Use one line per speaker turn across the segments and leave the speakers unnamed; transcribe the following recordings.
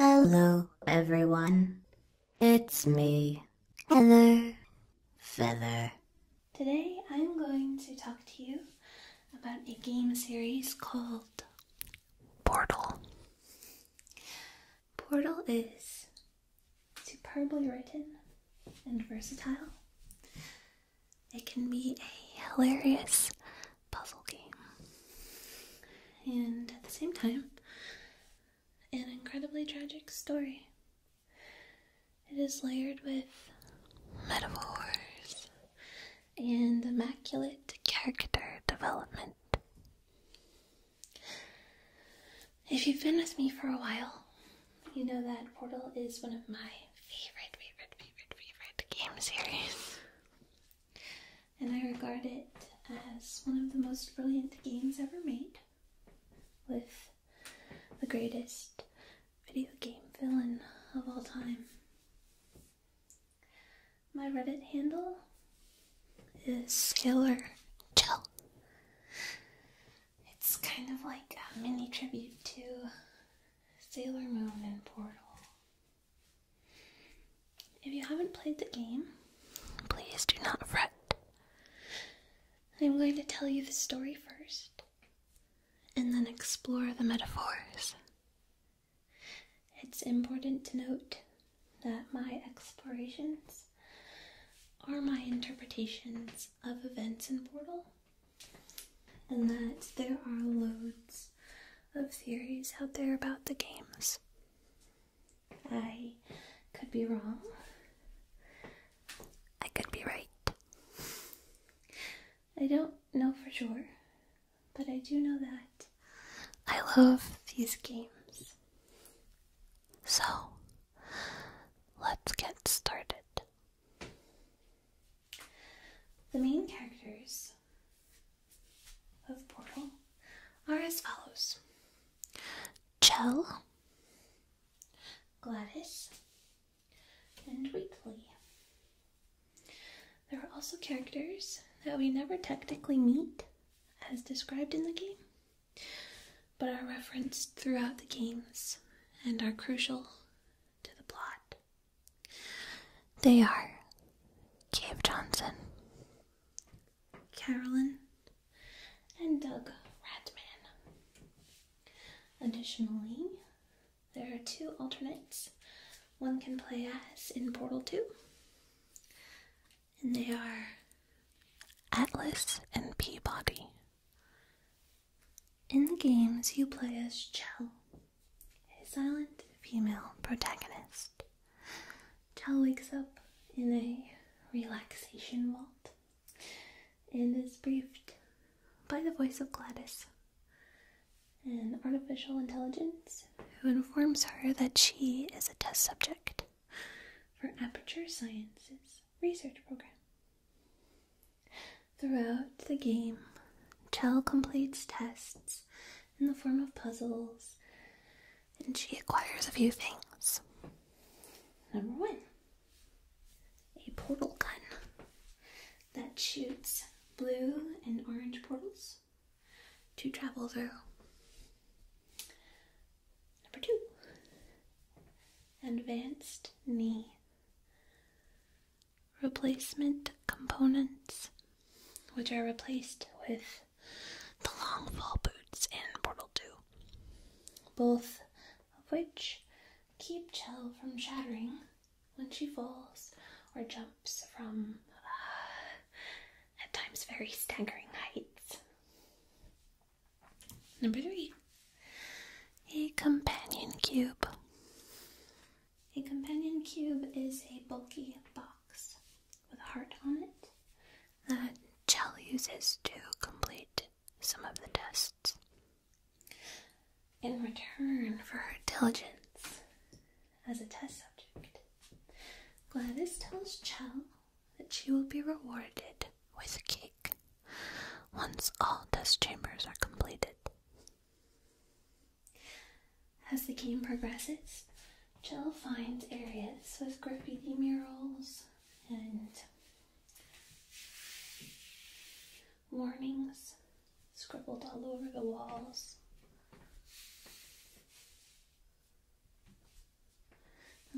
Hello, everyone. It's me, Heather Feather. Today I'm going to talk to you about a game series called Portal. Portal is superbly written and versatile. It can be a hilarious puzzle game, and at the same time, an incredibly tragic story. It is layered with metaphors and immaculate character development. If you've been with me for a while, you know that Portal is one of my favorite, favorite, favorite, favorite game series. And I regard it as one of the most brilliant games ever made, with the greatest video game villain of all time. My Reddit handle is Sailor It's kind of like a mini tribute to Sailor Moon and Portal. If you haven't played the game, please do not fret. I'm going to tell you the story first, and then explore the metaphors. It's important to note that my explorations are my interpretations of events in Portal, and that there are loads of theories out there about the games. I could be wrong. I could be right. I don't know for sure, but I do know that I love these games. So, let's get started. The main characters of Portal are as follows Chell, Gladys, and Wheatley. There are also characters that we never technically meet, as described in the game, but are referenced throughout the games and are crucial to the plot. They are Cave Johnson, Carolyn, and Doug Ratman. Additionally, there are two alternates. One can play as in Portal 2, and they are Atlas and Peabody. In the games, you play as Chell, a silent female protagonist. Chell wakes up in a relaxation vault and is briefed by the voice of Gladys, an artificial intelligence who informs her that she is a test subject for Aperture Science's research program. Throughout the game, Chell completes tests in the form of puzzles, and she acquires a few things. Number one, a portal gun that shoots blue and orange portals to travel through. Number two, advanced knee. Replacement components, which are replaced with the long fall boots in Portal 2, both of which keep Chell from shattering when she falls or jumps from uh, at times very staggering heights. Number three, a companion cube. A companion cube is a bulky box with a heart on it that Chell uses to complete some of the tests. In return for her diligence as a test subject, Gladys tells Chell and she will be rewarded with a cake once all test chambers are completed. As the game progresses, Jill finds areas with graffiti murals and warnings scribbled all over the walls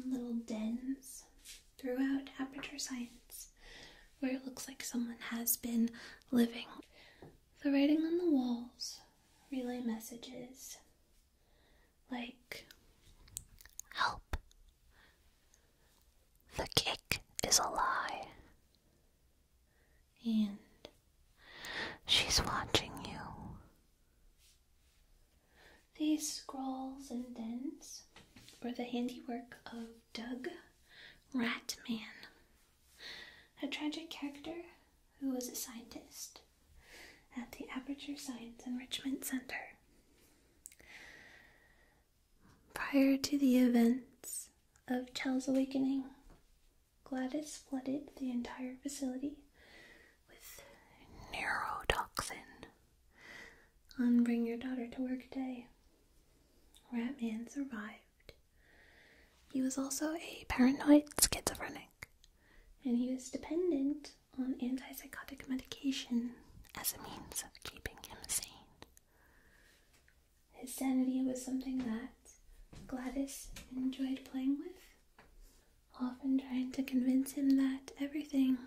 little dens throughout aperture science where it looks like someone has been living. The writing on the walls relay messages like help. The cake is a lie. And she's watching you. These scrawls and dens were the handiwork of Doug Ratman, a tragic character who was a scientist at the Aperture Science Enrichment Center. Prior to the events of Chell's awakening, Gladys flooded the entire facility with neurotoxin on Bring Your Daughter to Work Day. Ratman survived. He was also a paranoid schizophrenic, and he was dependent on antipsychotic medication as a means of keeping him sane. His sanity was something that Gladys enjoyed playing with often trying to convince him that everything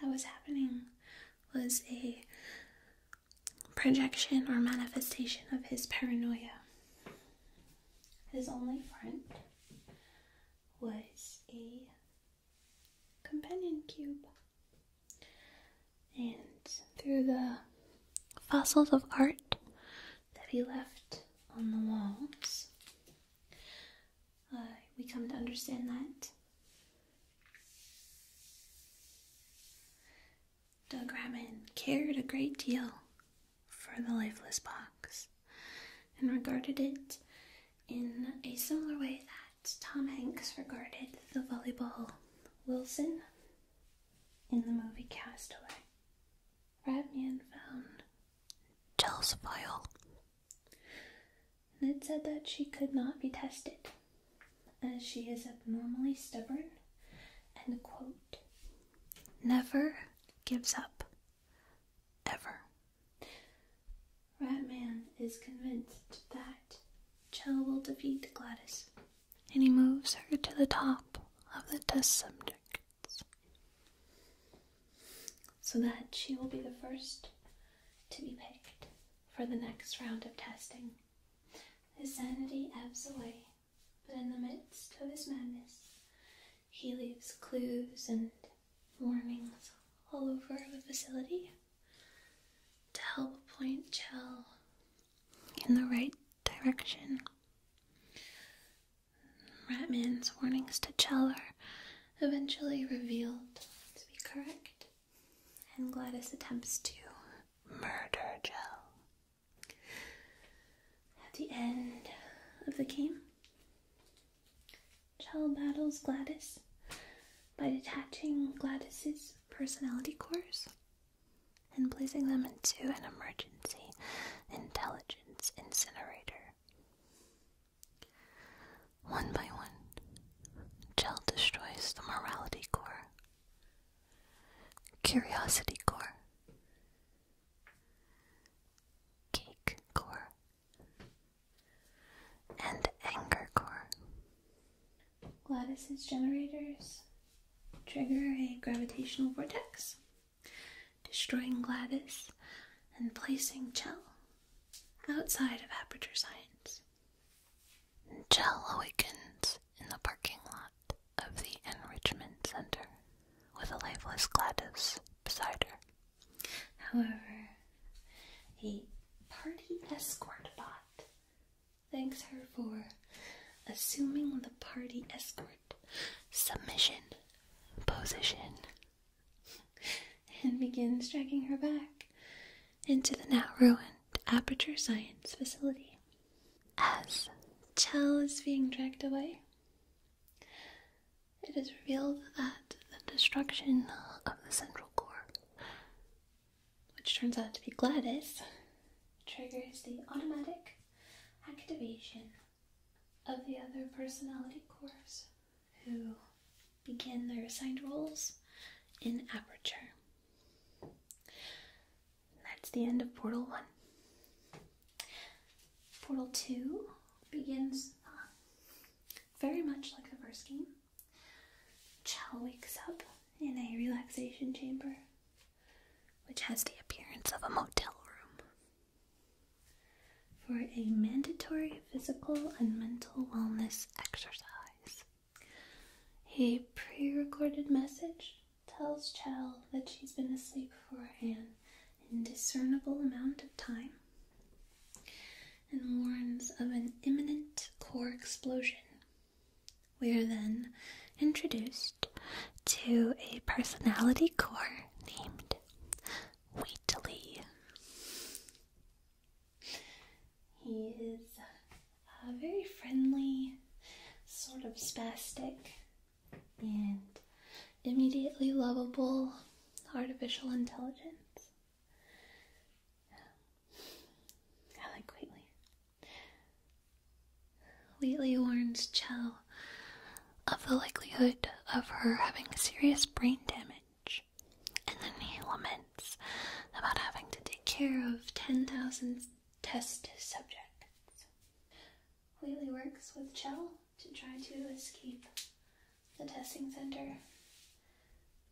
that was happening was a projection or manifestation of his paranoia. His only friend was a companion cube. And through the fossils of art that he left on the walls, uh, we come to understand that. Doug Raman cared a great deal for the lifeless box and regarded it in a similar way that Tom Hanks regarded the volleyball Wilson in the movie Castaway. Ratman found Jell's file. And it said that she could not be tested, as she is abnormally stubborn and, quote, never gives up. Ever. Ratman is convinced that Chell will defeat Gladys, and he moves her to the top of the test subject so that she will be the first to be picked for the next round of testing. His sanity ebbs away, but in the midst of his madness, he leaves clues and warnings all over the facility to help point Chell in the right direction. Ratman's warnings to Chell are eventually revealed to be correct, and Gladys attempts to murder Chell. At the end of the game, Chell battles Gladys by detaching Gladys's personality cores and placing them into an emergency intelligence incinerator. One by one, Gel destroys the morality core, curiosity core, cake core, and anger core. Gladys's generators trigger a gravitational vortex destroying Gladys and placing Chell outside of Aperture Science. Chell awakens in the parking lot of the Enrichment Center with a lifeless Gladys beside her. However, a party escort bot thanks her for assuming the party escort submission position and begins dragging her back into the now ruined Aperture Science facility. As Chell is being dragged away, it is revealed that the destruction of the Central Core, which turns out to be Gladys, triggers the automatic activation of the other personality cores who begin their assigned roles in Aperture. that's the end of Portal 1. Portal 2 begins uh, very much like the first game. Chell wakes up in a relaxation chamber, which has the appearance of a motel room for a mandatory physical and mental wellness exercise. A pre recorded message tells Chell that she's been asleep for an indiscernible amount of time and warns of an imminent core explosion. We are then introduced to a personality core named Wheatley. He is a very friendly, sort of spastic, and immediately lovable artificial intelligence. I like Wheatley. Wheatley warns Chell of the likelihood of her having serious brain damage and then he laments about having to take care of 10,000 test subjects. Wheatley works with Chell to try to escape the testing center.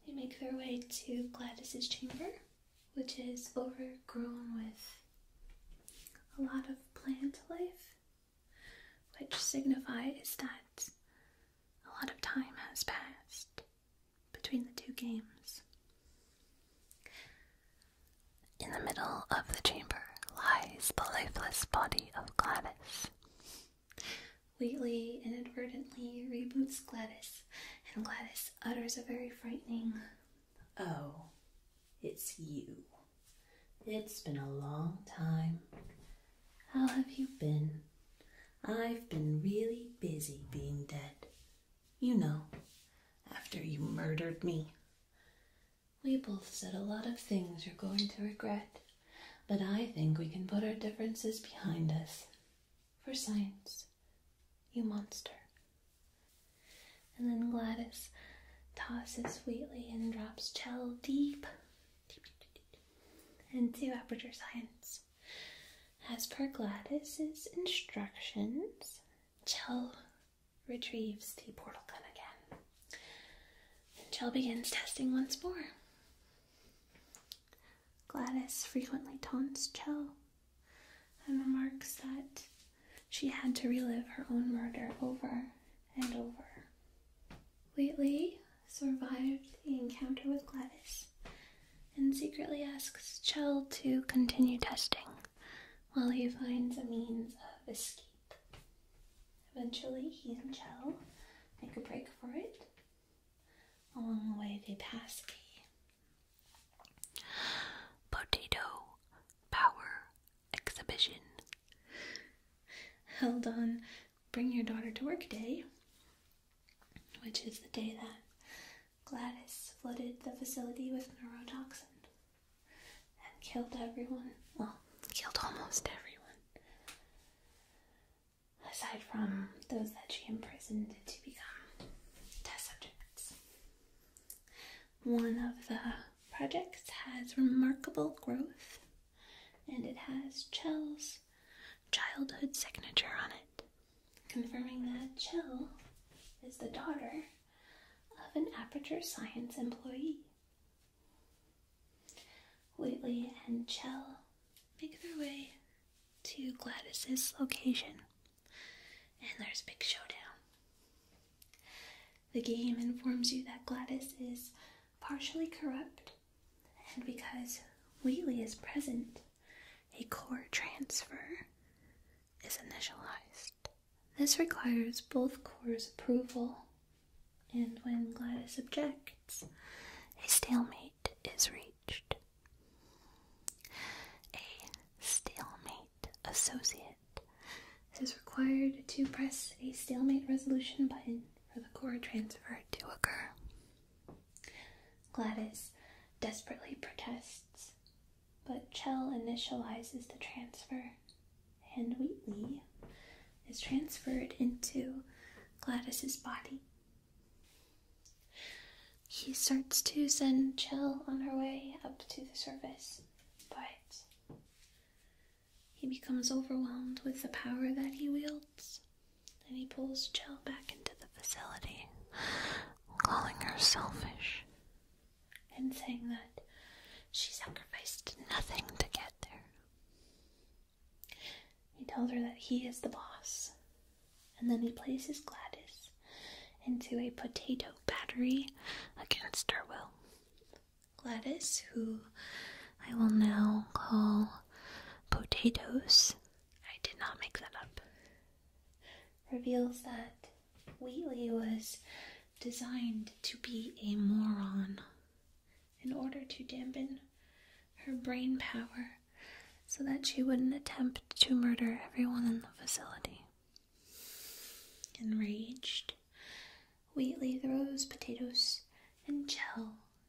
They make their way to Gladys's chamber, which is overgrown with a lot of plant life which signifies that a lot of time has passed between the two games. In the middle of the chamber lies the lifeless body of Gladys. Wheatley inadvertently reboots Gladys, and Gladys utters a very frightening, Oh, it's you. It's been a long time. How have you been? I've been really busy being dead. You know, after you murdered me. We both said a lot of things you're going to regret, but I think we can put our differences behind us. For science, you monster. And then Gladys tosses sweetly and drops chel deep into Aperture Science. As per Gladys's instructions, Chell retrieves the portal gun again. And Chell begins testing once more. Gladys frequently taunts Chell and remarks that she had to relive her own murder over and over. Lately, survived the encounter with Gladys and secretly asks Chell to continue testing while he finds a means of escape. Eventually, he and Chell make a break for it. Along the way, they pass the potato power exhibition Hold on Bring Your Daughter to Work Day, which is the day that Gladys flooded the facility with neurotoxin and killed everyone. Well, killed almost everyone. Aside from those that she imprisoned to become test subjects. One of the projects has remarkable growth and it has Chell's childhood signature on it, confirming that Chell is the daughter of an Aperture Science employee. Whately and Chell make their way to Gladys's location, and there's a big showdown. The game informs you that Gladys is partially corrupt and because wheelie is present, a core transfer is initialized. This requires both cores' approval, and when Gladys objects, a stalemate is reached. A stalemate associate is required to press a stalemate resolution button for the core transfer to occur. Gladys desperately protests, but Chell initializes the transfer, and Wheatley is transferred into Gladys's body. He starts to send Chell on her way up to the surface, but he becomes overwhelmed with the power that he wields, and he pulls Jill back into the facility, calling her selfish and saying that she sacrificed nothing to get there. He tells her that he is the boss, and then he places Gladys into a potato battery against her will. Gladys, who I will now call potatoes, I did not make that up, reveals that Wheatley was designed to be a moron in order to dampen her brain power so that she wouldn't attempt to murder everyone in the facility. Enraged, Wheatley throws potatoes and Chell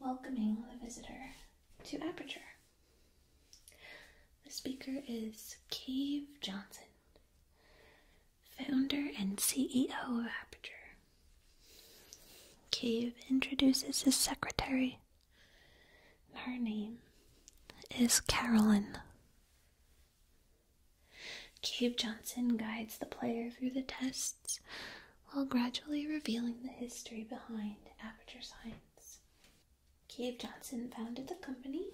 welcoming the visitor to Aperture. The speaker is Cave Johnson, founder and CEO of Aperture. Cave introduces his secretary. Her name is Carolyn. Cave Johnson guides the player through the test while gradually revealing the history behind aperture science. Cave Johnson founded the company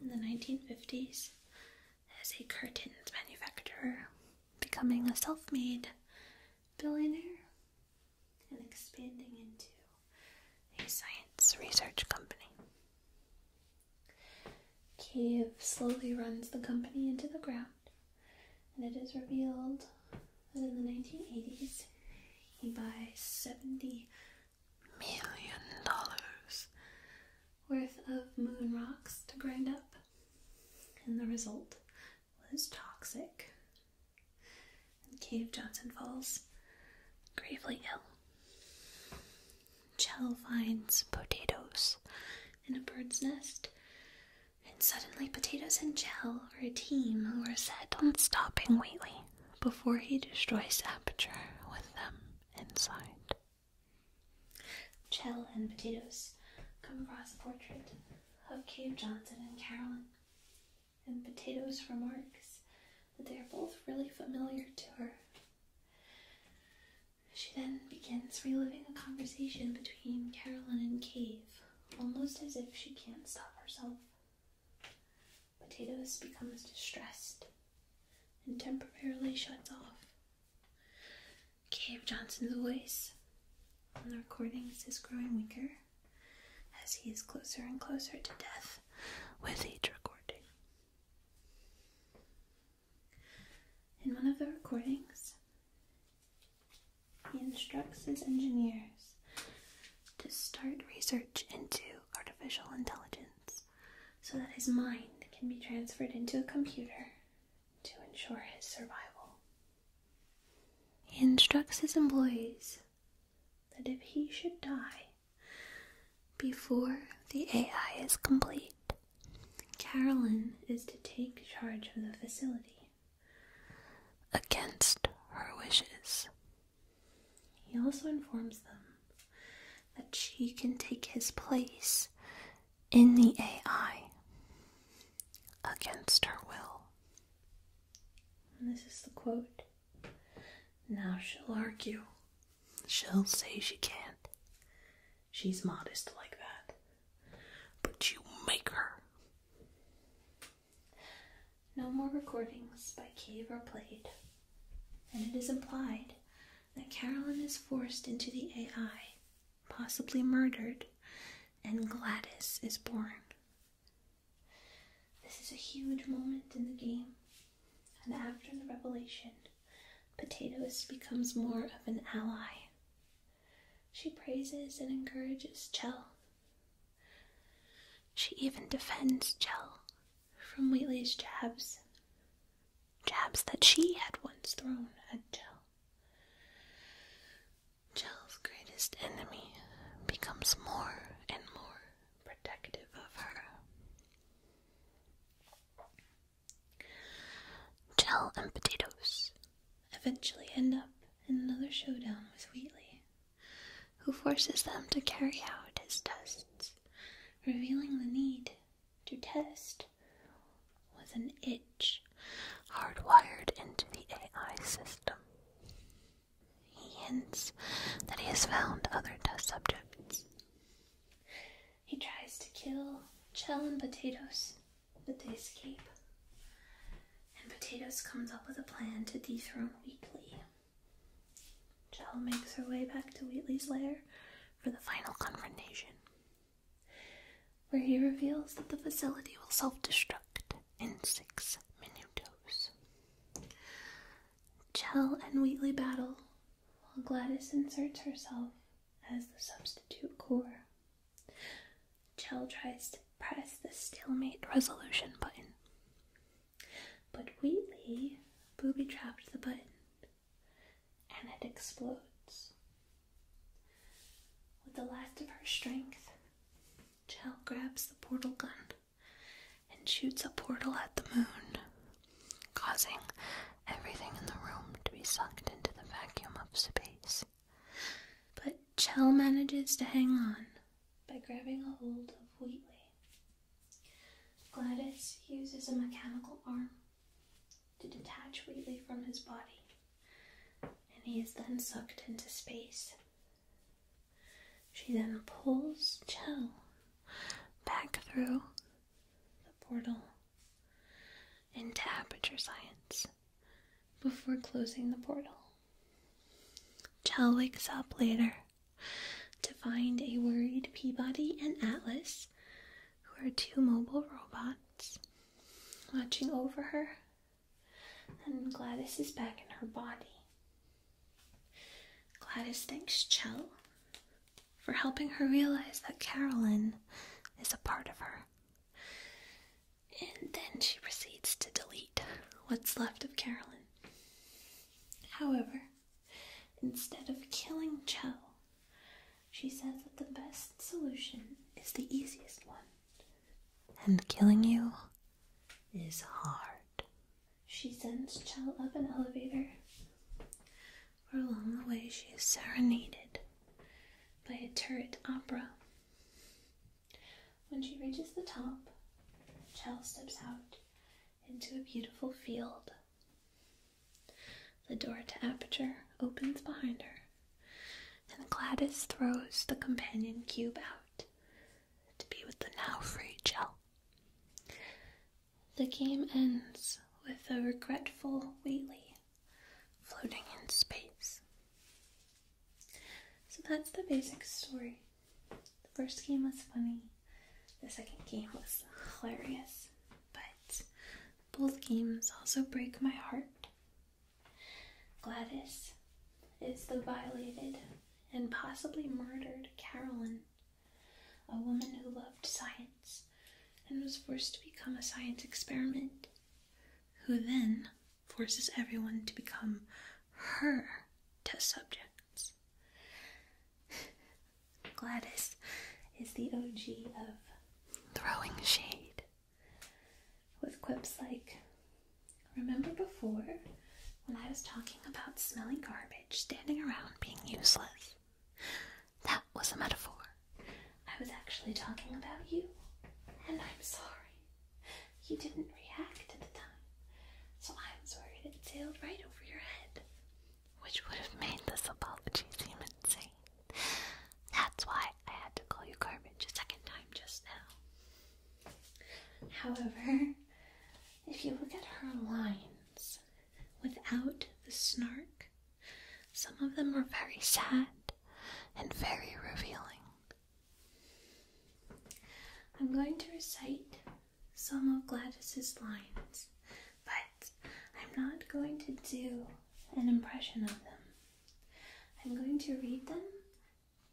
in the 1950s as a curtains manufacturer, becoming a self made billionaire and expanding into a science research company. Cave slowly runs the company into the ground and it is revealed that in the 1980s he buys 70 million dollars worth of moon rocks to grind up, and the result was toxic. And Cave Johnson falls gravely ill. Chell finds potatoes in a bird's nest and suddenly, Potatoes and Gel are a team who are set on stopping Wheatley before he destroys Aperture with them inside. Chell and Potatoes come across a portrait of Cave Johnson and Carolyn, and Potatoes remarks that they are both really familiar to her. She then begins reliving a conversation between Carolyn and Cave almost as if she can't stop herself. Potatoes becomes distressed and temporarily shuts off. Cave Johnson's voice on the recordings is growing weaker as he is closer and closer to death with each recording. In one of the recordings, he instructs his engineers to start research into artificial intelligence so that his mind can be transferred into a computer to ensure his survival. He instructs his employees that if he should die before the AI is complete, Carolyn is to take charge of the facility against her wishes. He also informs them that she can take his place in the AI against her will. this is the quote Now she'll argue. She'll say she can't. She's modest like that. But you make her. No more recordings by cave are played, and it is implied that Carolyn is forced into the AI, possibly murdered, and Gladys is born. This is a huge moment in the game, and after the revelation, Potatoes becomes more of an ally she praises and encourages Chell. She even defends Chell from Wheatley's jabs, jabs that she had once thrown at Chell. Chell's greatest enemy becomes more and more protective of her. Chell and Potatoes eventually end up in another showdown with Wheatley, who forces them to carry out his tests, revealing the need to test with an itch hardwired into the AI system. He hints that he has found other test subjects. He tries to kill Chell and Potatoes but they escape. And Potatoes comes up with a plan to dethrone Wheatley. Jell makes her way back to Wheatley's lair for the final confrontation, where he reveals that the facility will self destruct in six minutos. Jell and Wheatley battle while Gladys inserts herself as the substitute core. Chell tries to press the stalemate resolution button. But Wheatley booby trapped the button and it explodes. With the last of her strength, Chell grabs the portal gun and shoots a portal at the moon, causing everything in the room to be sucked into the vacuum of space. But Chell manages to hang on by grabbing a hold of Wheatley. Gladys uses a mechanical arm to detach Wheatley from his body, and he is then sucked into space. She then pulls Chell back through the portal into Aperture Science before closing the portal. Chell wakes up later to find a worried Peabody and Atlas, who are two mobile robots, watching over her. And Gladys is back in her body. Gladys thanks Chell for helping her realize that Carolyn is a part of her. And then she proceeds to delete what's left of Carolyn. However, instead of killing Cho, she says that the best solution is the easiest one. And killing you is hard. She sends Chell up an elevator, where along the way she is serenaded by a turret opera when she reaches the top, Chell steps out into a beautiful field. The door to Aperture opens behind her, and Gladys throws the companion cube out to be with the now free Chell. The game ends with a regretful Wheelie floating in space. So that's the basic story. The first game was funny, the second game was hilarious, but both games also break my heart. Gladys is the violated and possibly murdered Carolyn, a woman who loved science and was forced to become a science experiment, who then forces everyone to become her test subjects. Gladys is the OG of throwing shade with quips like, Remember before when I was talking about smelling garbage standing around being useless? That was a metaphor. I was actually talking about you, and I'm sorry. You didn't react at the time, so I'm sorry that it sailed right over your head, which would have made this apology seem insane. That's why I had to call you garbage a second time just now. However, if you look at her lines without the snark, some of them are very sad and very revealing. I'm going to recite some of Gladys's lines, but I'm not going to do an impression of them. I'm going to read them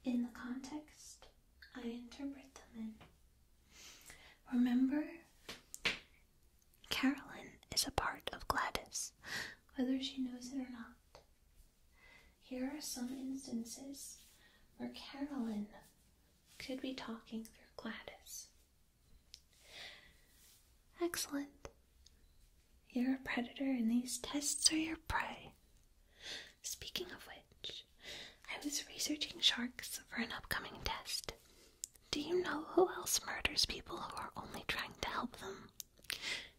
in the context I interpret them in. Remember, Carolyn is a part of Gladys, whether she knows it or not. Here are some instances where Carolyn could be talking through Gladys. Excellent. You're a predator, and these tests are your prey. Speaking of which, I was researching sharks for an upcoming test. Do you know who else murders people who are only trying to help them?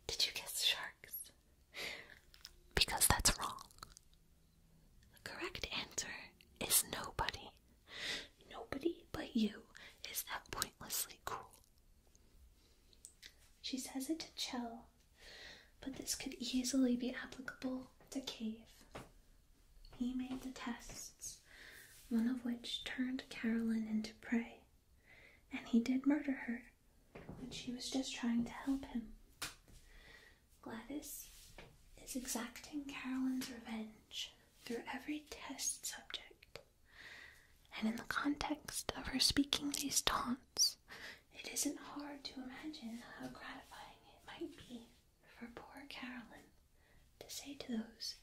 Did you guess sharks? Because that's wrong. The correct answer is nobody. Nobody but you is that pointlessly cruel. She says it to Chell, but this could easily be applicable to Cave. He made the tests, one of which turned Carolyn into prey, and he did murder her. And she was just trying to help him. Gladys is exacting Carolyn's revenge through every test subject, and in the context of her speaking these taunts, it isn't hard to imagine how gratifying it might be for poor Carolyn to say to those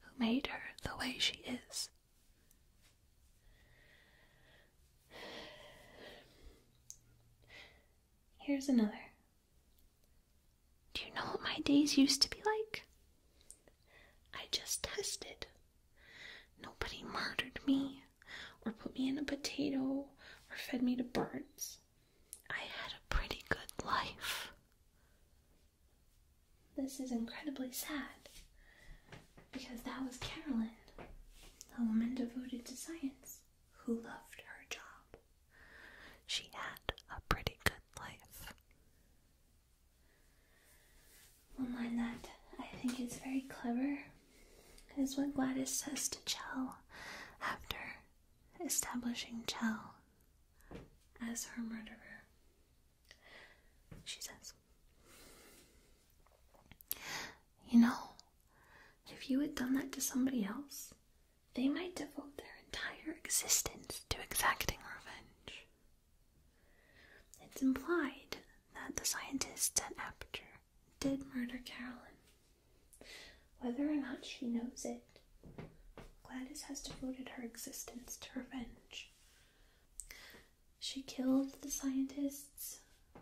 who made her the way she is. Here's another. Do you know what my days used to be like? I just tested. Nobody murdered me, or put me in a potato, or fed me to birds. I had a pretty good life. This is incredibly sad because that was Carolyn, a woman devoted to science who loved her job. She had a pretty good life. Well, mind that, I think it's very clever, is what Gladys says to Chell after establishing Chell as her murderer. She says, you know, if you had done that to somebody else, they might devote their entire existence to exacting revenge. It's implied that the scientists at Aperture did murder Carolyn. Whether or not she knows it, Gladys has devoted her existence to revenge. She killed the scientists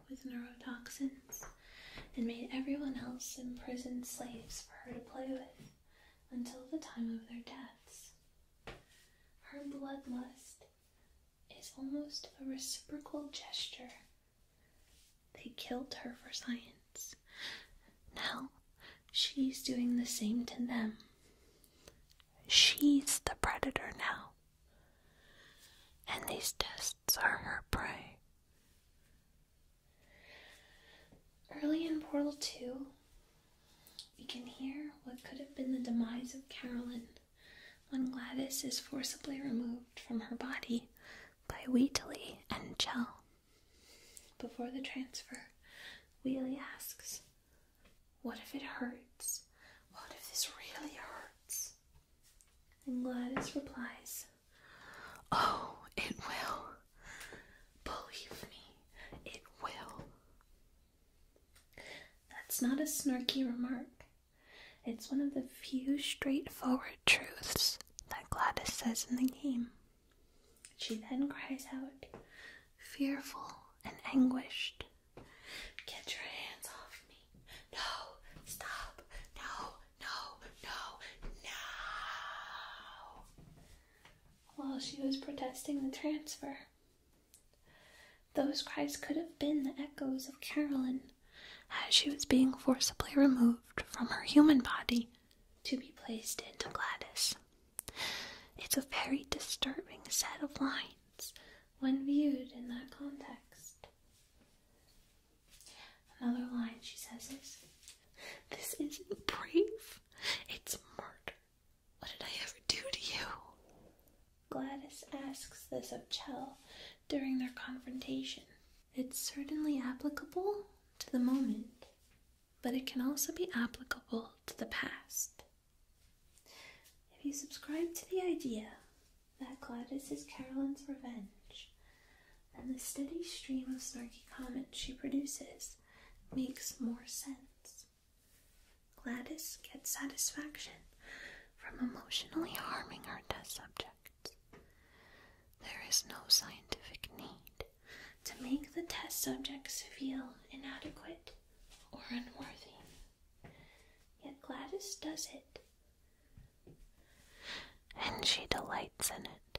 with neurotoxins and made everyone else imprisoned slaves for her to play with until the time of their deaths. Her bloodlust is almost a reciprocal gesture. They killed her for science. Now she's doing the same to them. She's the predator now and these tests are her prey. Early in Portal 2, we can hear what could have been the demise of Carolyn when Gladys is forcibly removed from her body by Wheatley and Chell. Before the transfer, Wheatley asks, What if it hurts? What if this really hurts? And Gladys replies, Oh, it will. Believe me, it will. That's not a snarky remark. It's one of the few straightforward truths that Gladys says in the game. She then cries out, fearful and anguished, Get your hands off me. No, stop. No, no, no, no. While she was protesting the transfer, those cries could have been the echoes of Carolyn as she was being forcibly removed from her human body to be placed into Gladys. It's a very disturbing set of lines when viewed in that context. Another line she says is, This isn't brave, it's murder. What did I ever do to you? Gladys asks this of Chell during their confrontation. It's certainly applicable to the moment, but it can also be applicable to the past. If you subscribe to the idea that Gladys is Carolyn's revenge, and the steady stream of snarky comments she produces makes more sense. Gladys gets satisfaction from emotionally harming her test subjects. There is no scientific need to make the test subjects feel inadequate or unworthy. Yet Gladys does it and she delights in it.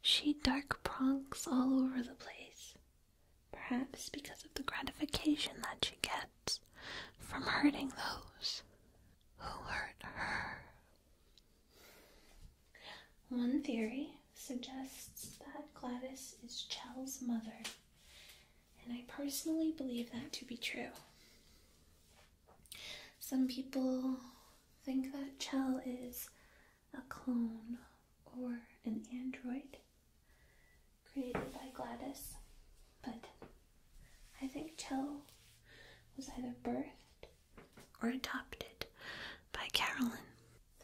She dark prongs all over the place, perhaps because of the gratification that she gets from hurting those who hurt her. One theory suggests that Gladys is Chell's mother. And I personally believe that to be true. Some people think that Chell is a clone or an android created by Gladys, but I think Chell was either birthed or adopted by Carolyn.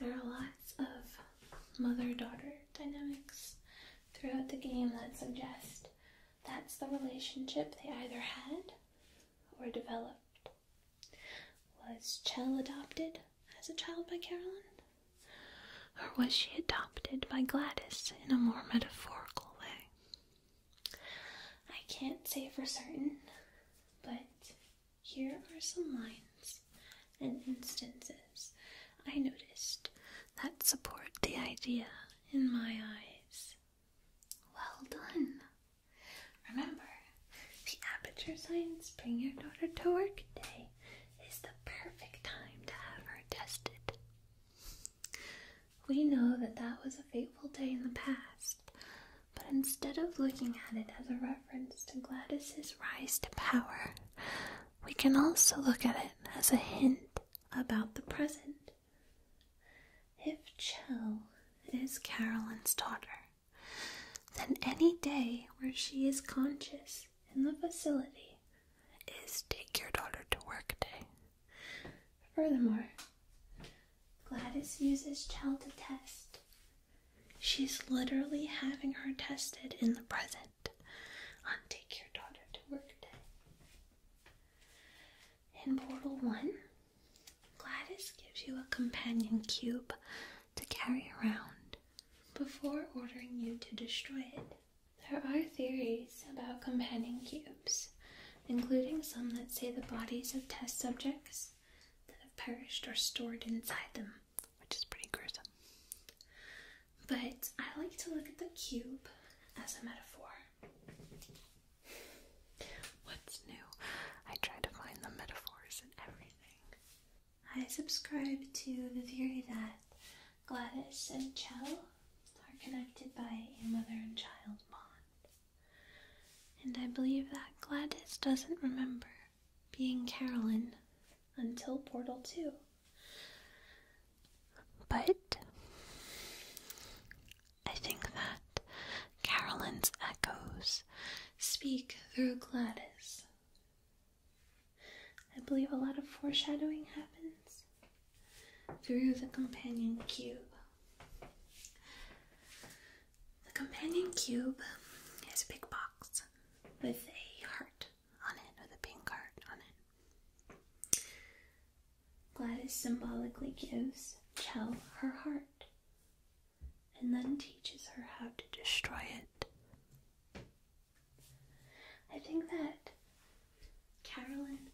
There are lots of mother daughter dynamics throughout the game that suggest that's the relationship they either had or developed. Was Chell adopted as a child by Carolyn, Or was she adopted by Gladys in a more metaphorical way? I can't say for certain, but here are some lines and instances I noticed that support the idea in my eyes. Well done! Remember, the Aperture Science Bring Your Daughter to Work Day is the perfect time to have her tested. We know that that was a fateful day in the past, but instead of looking at it as a reference to Gladys's rise to power, we can also look at it as a hint about the present. If Chell is Carolyn's daughter, then any day where she is conscious in the facility is Take Your Daughter to Work Day. Furthermore, Gladys uses Chell to test. She's literally having her tested in the present on Take Your Daughter to Work In Portal 1, Gladys gives you a companion cube to carry around before ordering you to destroy it. There are theories about companion cubes, including some that say the bodies of test subjects that have perished are stored inside them, which is pretty gruesome. But I like to look at the cube as a metaphor. What's new? I try to find the metaphors in everything. I subscribe to the theory that Gladys and Chell are connected by a mother and child bond. And I believe that Gladys doesn't remember being Carolyn until Portal 2. But I think that Carolyn's echoes speak through Gladys. I believe a lot of foreshadowing happens through the companion cube. The companion cube is a big box with a heart on it with a pink heart on it. Gladys symbolically gives Chell her heart and then teaches her how to destroy it. I think that Carolyn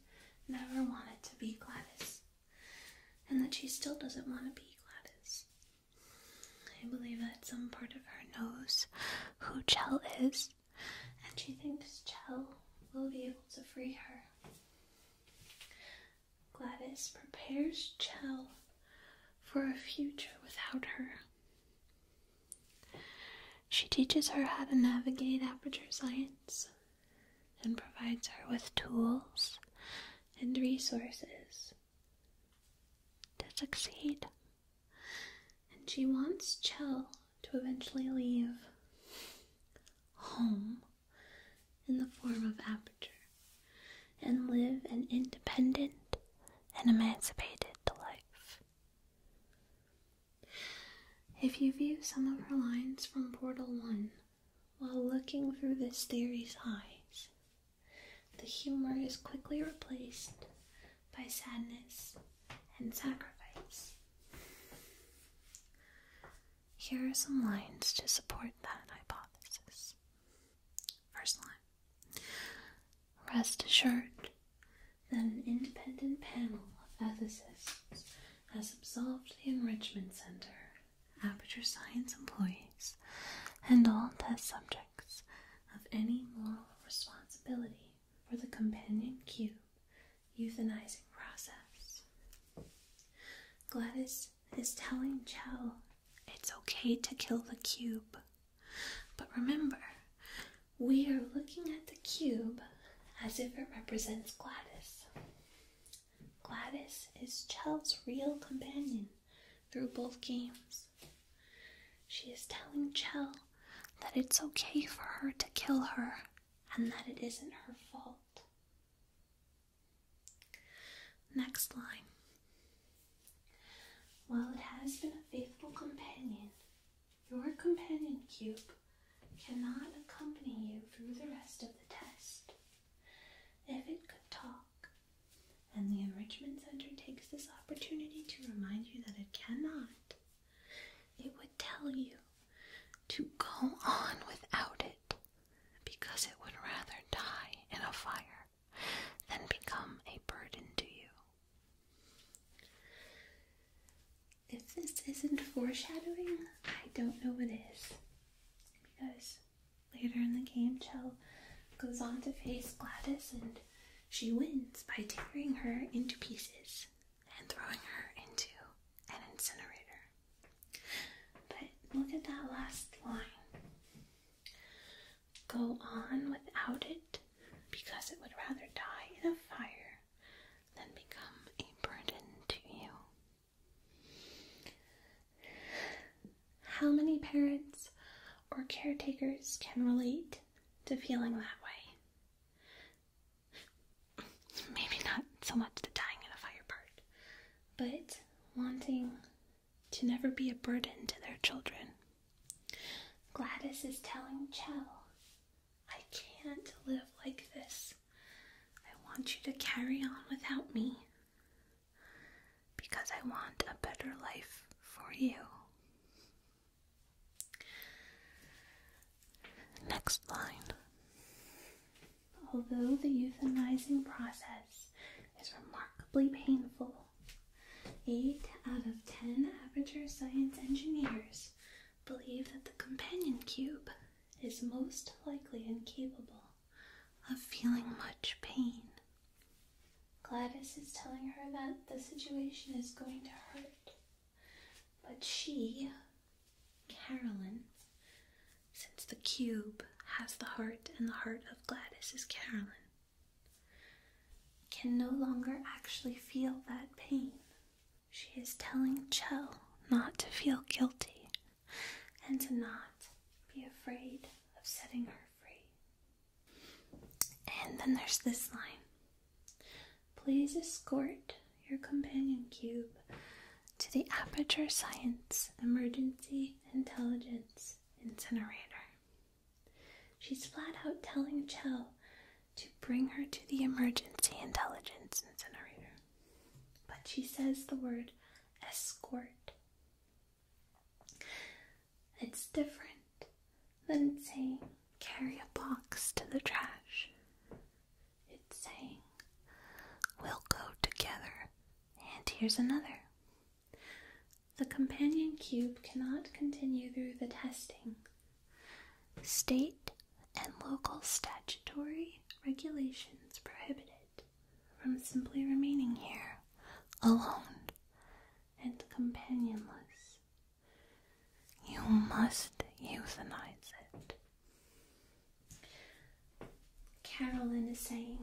never wanted to be Gladys and that she still doesn't want to be Gladys. I believe that some part of her knows who Chell is and she thinks Chell will be able to free her. Gladys prepares Chell for a future without her. She teaches her how to navigate aperture science and provides her with tools and resources to succeed. And she wants Chell to eventually leave home in the form of aperture and live an independent and emancipated life. If you view some of her lines from Portal 1 while looking through the theory's eyes, the humor is quickly replaced by sadness and sacrifice. Here are some lines to support that hypothesis. First line Rest assured that an independent panel of ethicists has absolved the Enrichment Center, Aperture Science employees, and all test subjects of any moral responsibility for the companion cube euthanizing process. Gladys is telling Chell it's okay to kill the cube. But remember, we are looking at the cube as if it represents Gladys. Gladys is Chell's real companion through both games. She is telling Chell that it's okay for her to kill her and that it isn't her fault. Next line. While it has been a faithful companion, your companion cube cannot accompany you through the rest of the test. If it could talk, and the Enrichment Center takes this opportunity to remind you that it cannot, it would tell you to go on without it because it would rather die in a fire than become a burden to you. If this isn't foreshadowing, I don't know what is. Because later in the game, Chell goes on to face Gladys and she wins by tearing her into pieces and throwing her into an incinerator. But look at that last line. Go on without it because it would rather die in a fire than become a burden to you. How many parents or caretakers can relate to feeling that way? maybe not so much the dying in a fire part, but wanting to never be a burden to their children. Gladys is telling Chell, I can't live like this. I want you to carry on without me because I want a better life for you. Next line. Although the euthanizing process is remarkably painful, 8 out of 10 aperture science engineers believe that the companion cube is most likely incapable of feeling much pain. Gladys is telling her that the situation is going to hurt, but she Carolyn. Since the cube has the heart and the heart of Gladys is Carolyn, can no longer actually feel that pain. She is telling Chell not to feel guilty and to not be afraid of setting her free. And then there's this line Please escort your companion cube to the Aperture Science Emergency Intelligence Incinerator. She's flat out telling Chell to bring her to the Emergency Intelligence Incinerator. But she says the word escort. It's different than saying carry a box to the trash. It's saying, We'll go together. And here's another. The companion cube cannot continue through the testing. State and local statutory regulations prohibit it from simply remaining here alone and companionless you must euthanize it. Carolyn is saying,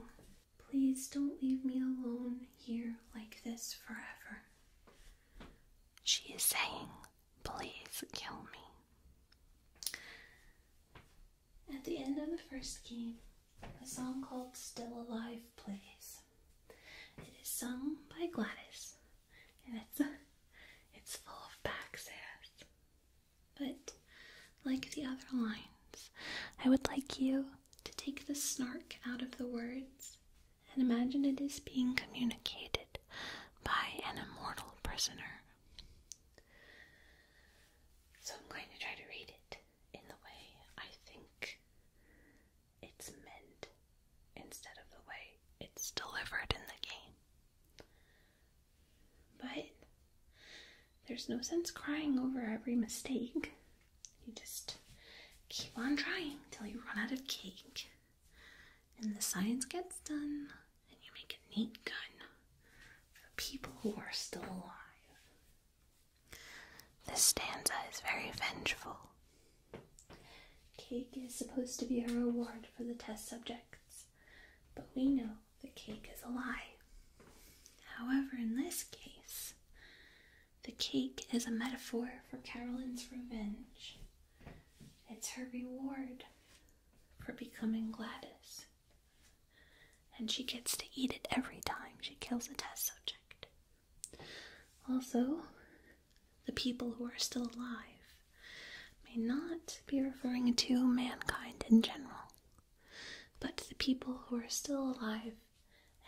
Please don't leave me alone here like this forever. She is saying, Please kill me. At the end of the first game, a song called Still Alive plays. It is sung by Gladys, and it's it's full of backsass. But, like the other lines, I would like you to take the snark out of the words and imagine it is being communicated by an immortal prisoner. So I'm going to try to read it in the way I think it's meant instead of the way it's delivered in the game. But there's no sense crying over every mistake. You just keep on trying until you run out of cake. And the science gets done, and you make a neat gun for the people who are still alive. This stanza is very vengeful. Cake is supposed to be a reward for the test subject but we know the cake is a lie. However, in this case, the cake is a metaphor for Carolyn's revenge. It's her reward for becoming Gladys. And she gets to eat it every time she kills a test subject. Also, the people who are still alive, may not be referring to mankind in general, but the people who are still alive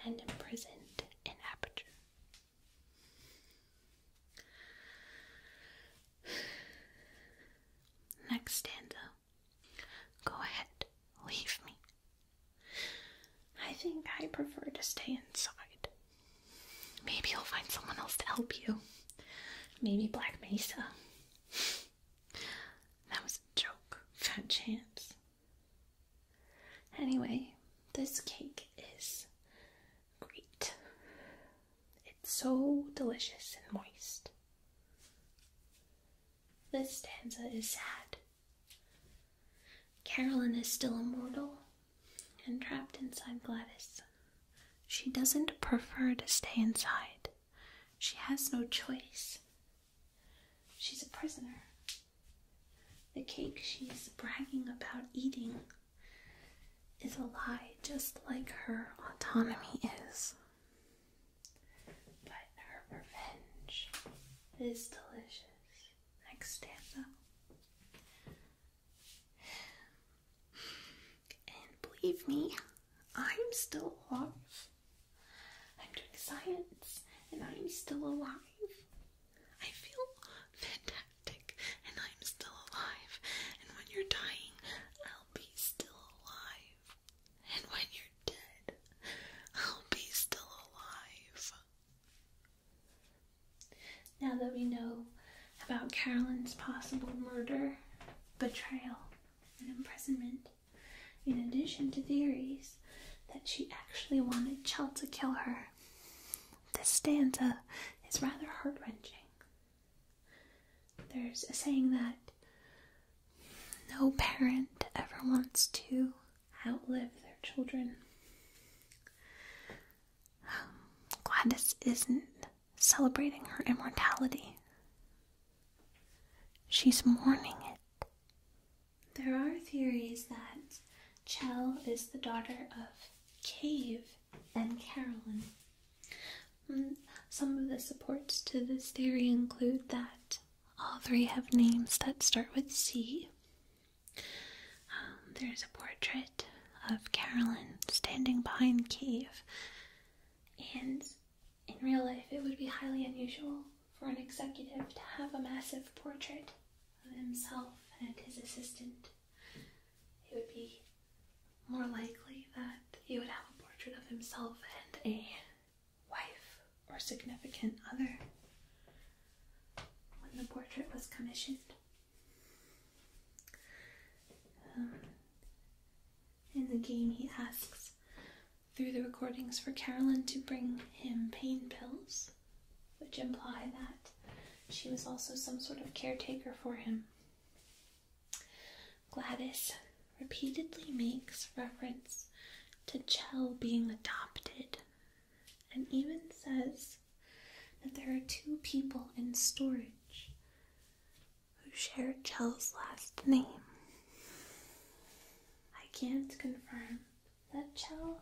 and imprisoned in Aperture. Next stanza. Go ahead, leave me. I think I prefer to stay inside. Maybe you'll find someone else to help you. Maybe Black Mesa. That was a joke. Fat chance. Anyway, this cake is great. It's so delicious and moist. This stanza is sad. Carolyn is still immortal, and trapped inside Gladys. She doesn't prefer to stay inside. She has no choice. She's a prisoner. The cake she's bragging about eating is a lie, just like her autonomy is. But her revenge is delicious. Next stanza. And believe me, I'm still alive. I'm doing science and I'm still alive. I feel fantastic and I'm still alive. And when you're dying, I'll be still alive. And when you're dead, I'll be still alive now that we know about Carolyn's possible murder, betrayal, and imprisonment, in addition to theories that she actually wanted Chell to kill her, this stanza is rather heart wrenching. There's a saying that no parent ever wants to outlive their children. Um, Gladys isn't celebrating her immortality. She's mourning it. There are theories that Chell is the daughter of Cave and Carolyn. Mm, some of the supports to this theory include that all three have names that start with C. Um, there's a portrait of Carolyn standing behind Cave. And in real life, it would be highly unusual for an executive to have a massive portrait of himself and his assistant. It would be more likely that he would have a portrait of himself and a wife or significant other. When the portrait was commissioned, um, in the game, he asks through the recordings for Carolyn to bring him pain pills, which imply that she was also some sort of caretaker for him. Gladys repeatedly makes reference to Chell being adopted and even says that there are two people in storage who shared Chell's last name. I can't confirm that Chell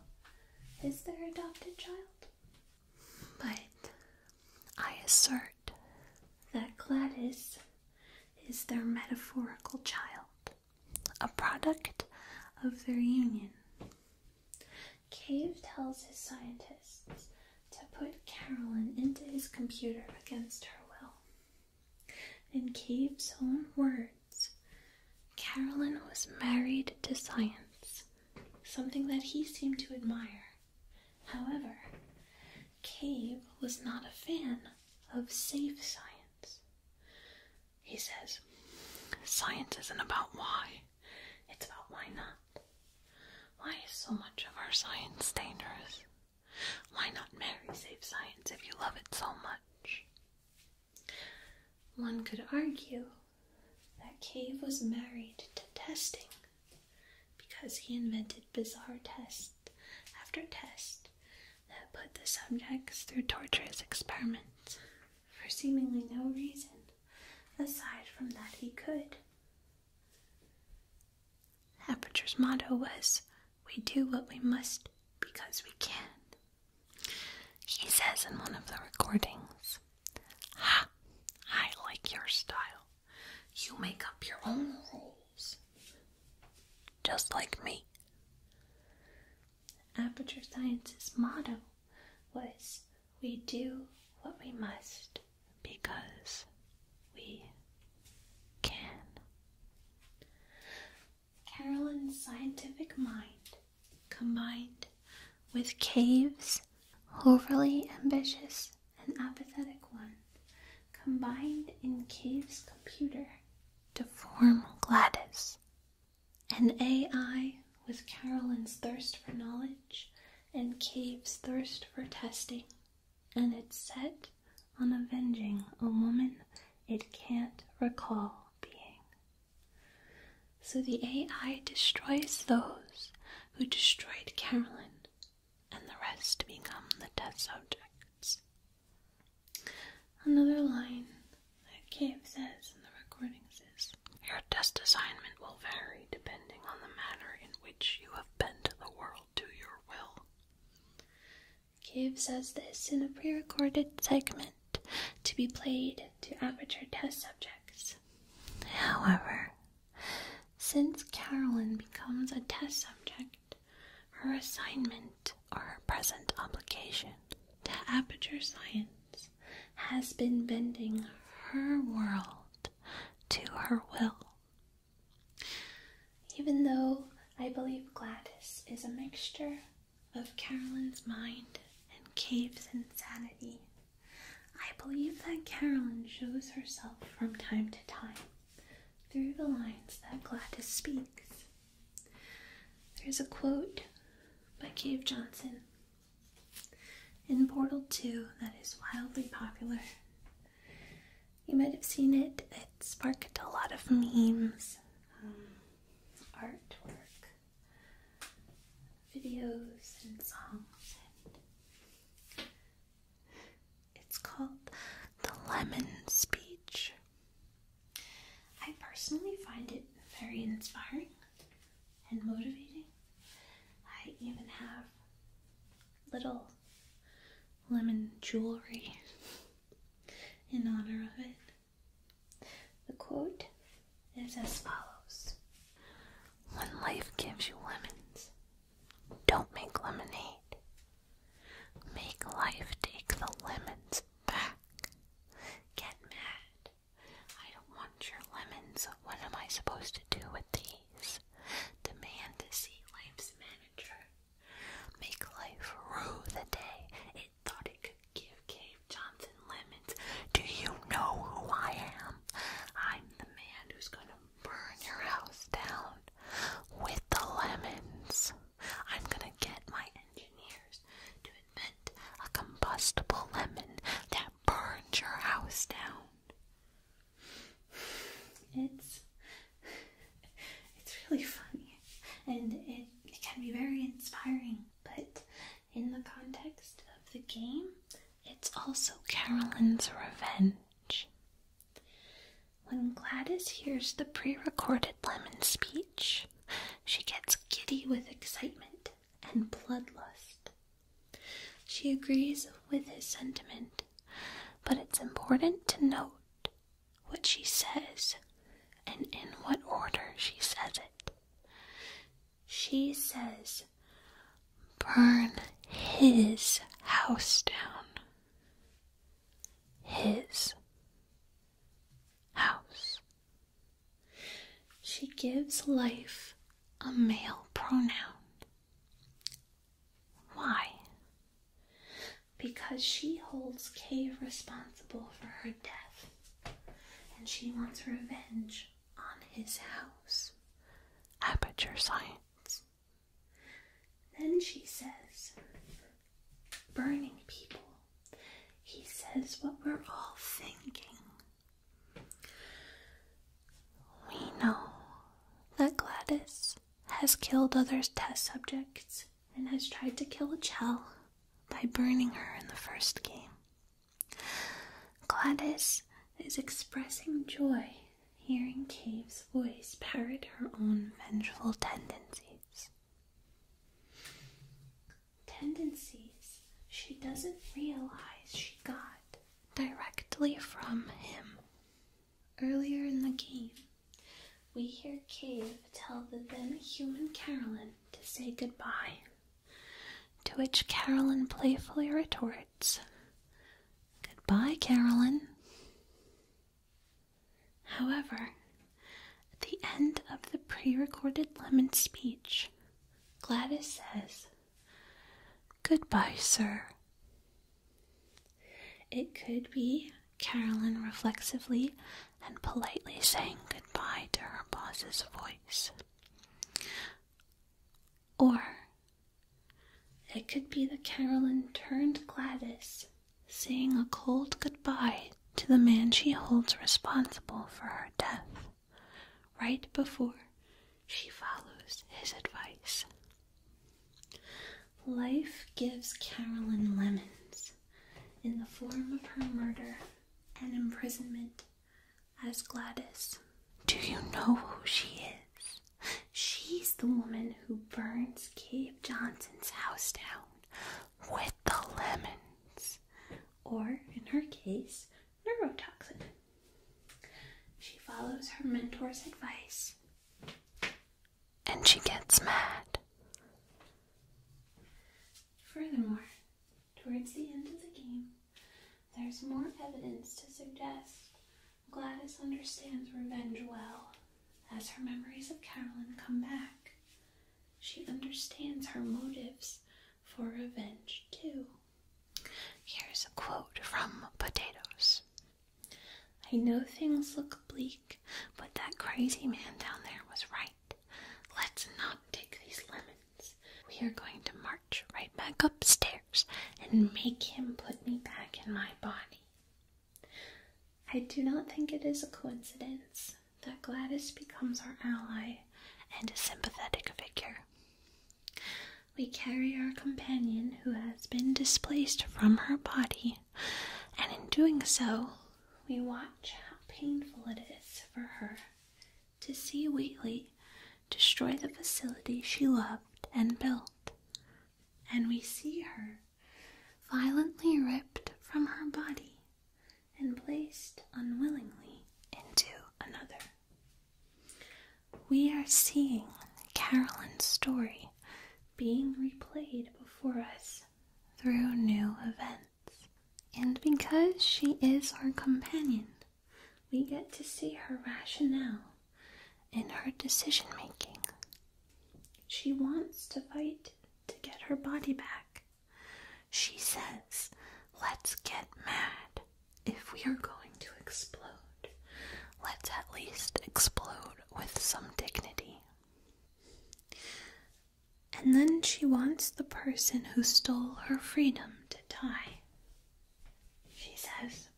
is their adopted child, but I assert that Gladys is their metaphorical child, a product of their union. Cave tells his scientists to put Carolyn into his computer against her will. In Cave's own words, Carolyn was married to science, something that he seemed to admire. However, Cave was not a fan of safe science. He says, Science isn't about why, it's about why not. Why is so much of our science dangerous? Why not marry safe science if you love it so much? One could argue that Cave was married to testing because he invented bizarre test after test that put the subjects through torturous experiments for seemingly no reason aside from that he could. Aperture's motto was We do what we must because we can. She says in one of the recordings, Ha! I like your style. You make up your own rules. Just like me. Aperture Science's motto was We do what we must because we can. Carolyn's scientific mind, combined with Cave's overly ambitious and apathetic one, combined in Cave's computer to form Gladys. An AI with Carolyn's thirst for knowledge and Cave's thirst for testing and it's set on avenging a woman it can't recall being. So the AI destroys those who destroyed Carolyn, and the rest become the test subjects. Another line that Cave says in the recordings is Your test assignment will vary depending on the manner in which you have." have the world to your will. Cave says this in a pre recorded segment to be played to Aperture test subjects. However, since Carolyn becomes a test subject, her assignment or her present obligation to Aperture Science has been bending her world to her will. Even though I believe Gladys is a mixture of Carolyn's mind and Cave's insanity, I believe that Carolyn shows herself from time to time through the lines that Gladys speaks. There's a quote by Cave Johnson in Portal 2 that is wildly popular you might have seen it. It sparked a lot of memes, um, artwork, videos, and songs. it's called the Lemon Speech. I personally find it very inspiring and motivating. I even have little lemon jewelry in honor of it. The quote is as follows When life gives you lemons, don't make lemonade. Make life take the lemons back. Get mad. I don't want your lemons. What am I supposed to do with these? demand to see life's manager, make life rue the day it thought it could give Cave Johnson lemons. Do you know who I am? I'm the man who's gonna burn your house down with the lemons. I'm gonna get my engineers to invent a combustible lemon that burns your house down. It's it's really funny and it, it can be very inspiring, but in the context of the game, it's also Carolyn's revenge. When Gladys hears the pre recorded lemon speech, she gets giddy with excitement and bloodlust. She agrees with his sentiment but it's important to note what she says and in what order she says it. She says, Burn his house down. His house. She gives life a male pronoun. Why? Because she holds Cave responsible for her death, and she wants revenge on his house. Aperture science. Then she says, burning people. He says what we're all thinking. We know that Gladys has killed other test subjects and has tried to kill Chell by burning her in the first game. Gladys is expressing joy hearing Cave's voice parrot her own vengeful tendencies. Tendencies she doesn't realize she got directly from him. Earlier in the game, we hear Cave tell the then human Carolyn to say goodbye, to which Carolyn playfully retorts, Goodbye, Carolyn. However, at the end of the pre recorded Lemon speech, Gladys says, Goodbye, sir. It could be Carolyn reflexively and politely saying goodbye to her boss's voice. Or it could be that Carolyn turned Gladys, saying a cold goodbye to the man she holds responsible for her death, right before she follows his advice. Life gives Carolyn lemons in the form of her murder and imprisonment as Gladys. Do you know who she is? She's the woman who burns Cave Johnson's house down with the lemons, or in her case, neurotoxin. She follows her mentor's advice and she gets mad. Furthermore, towards the end of the game, there's more evidence to suggest Gladys understands revenge well as her memories of Carolyn come back. She understands her motives for revenge too. Here's a quote from Potatoes I know things look bleak, but that crazy man down there was right. Let's not take these lemons. We are going to march right back upstairs and make him put me back in my body. I do not think it is a coincidence that Gladys becomes our ally and a sympathetic figure we carry our companion who has been displaced from her body, and in doing so, we watch how painful it is for her to see Wheatley destroy the facility she loved and built, and we see her violently ripped from her body and placed unwillingly into another we are seeing Carolyn's story being replayed before us through new events. And because she is our companion, we get to see her rationale and her decision making. She wants to fight to get her body back. She says, Let's get mad if we are going to explode. Let's at least explode with some dignity. And then she wants the person who stole her freedom to die. She says,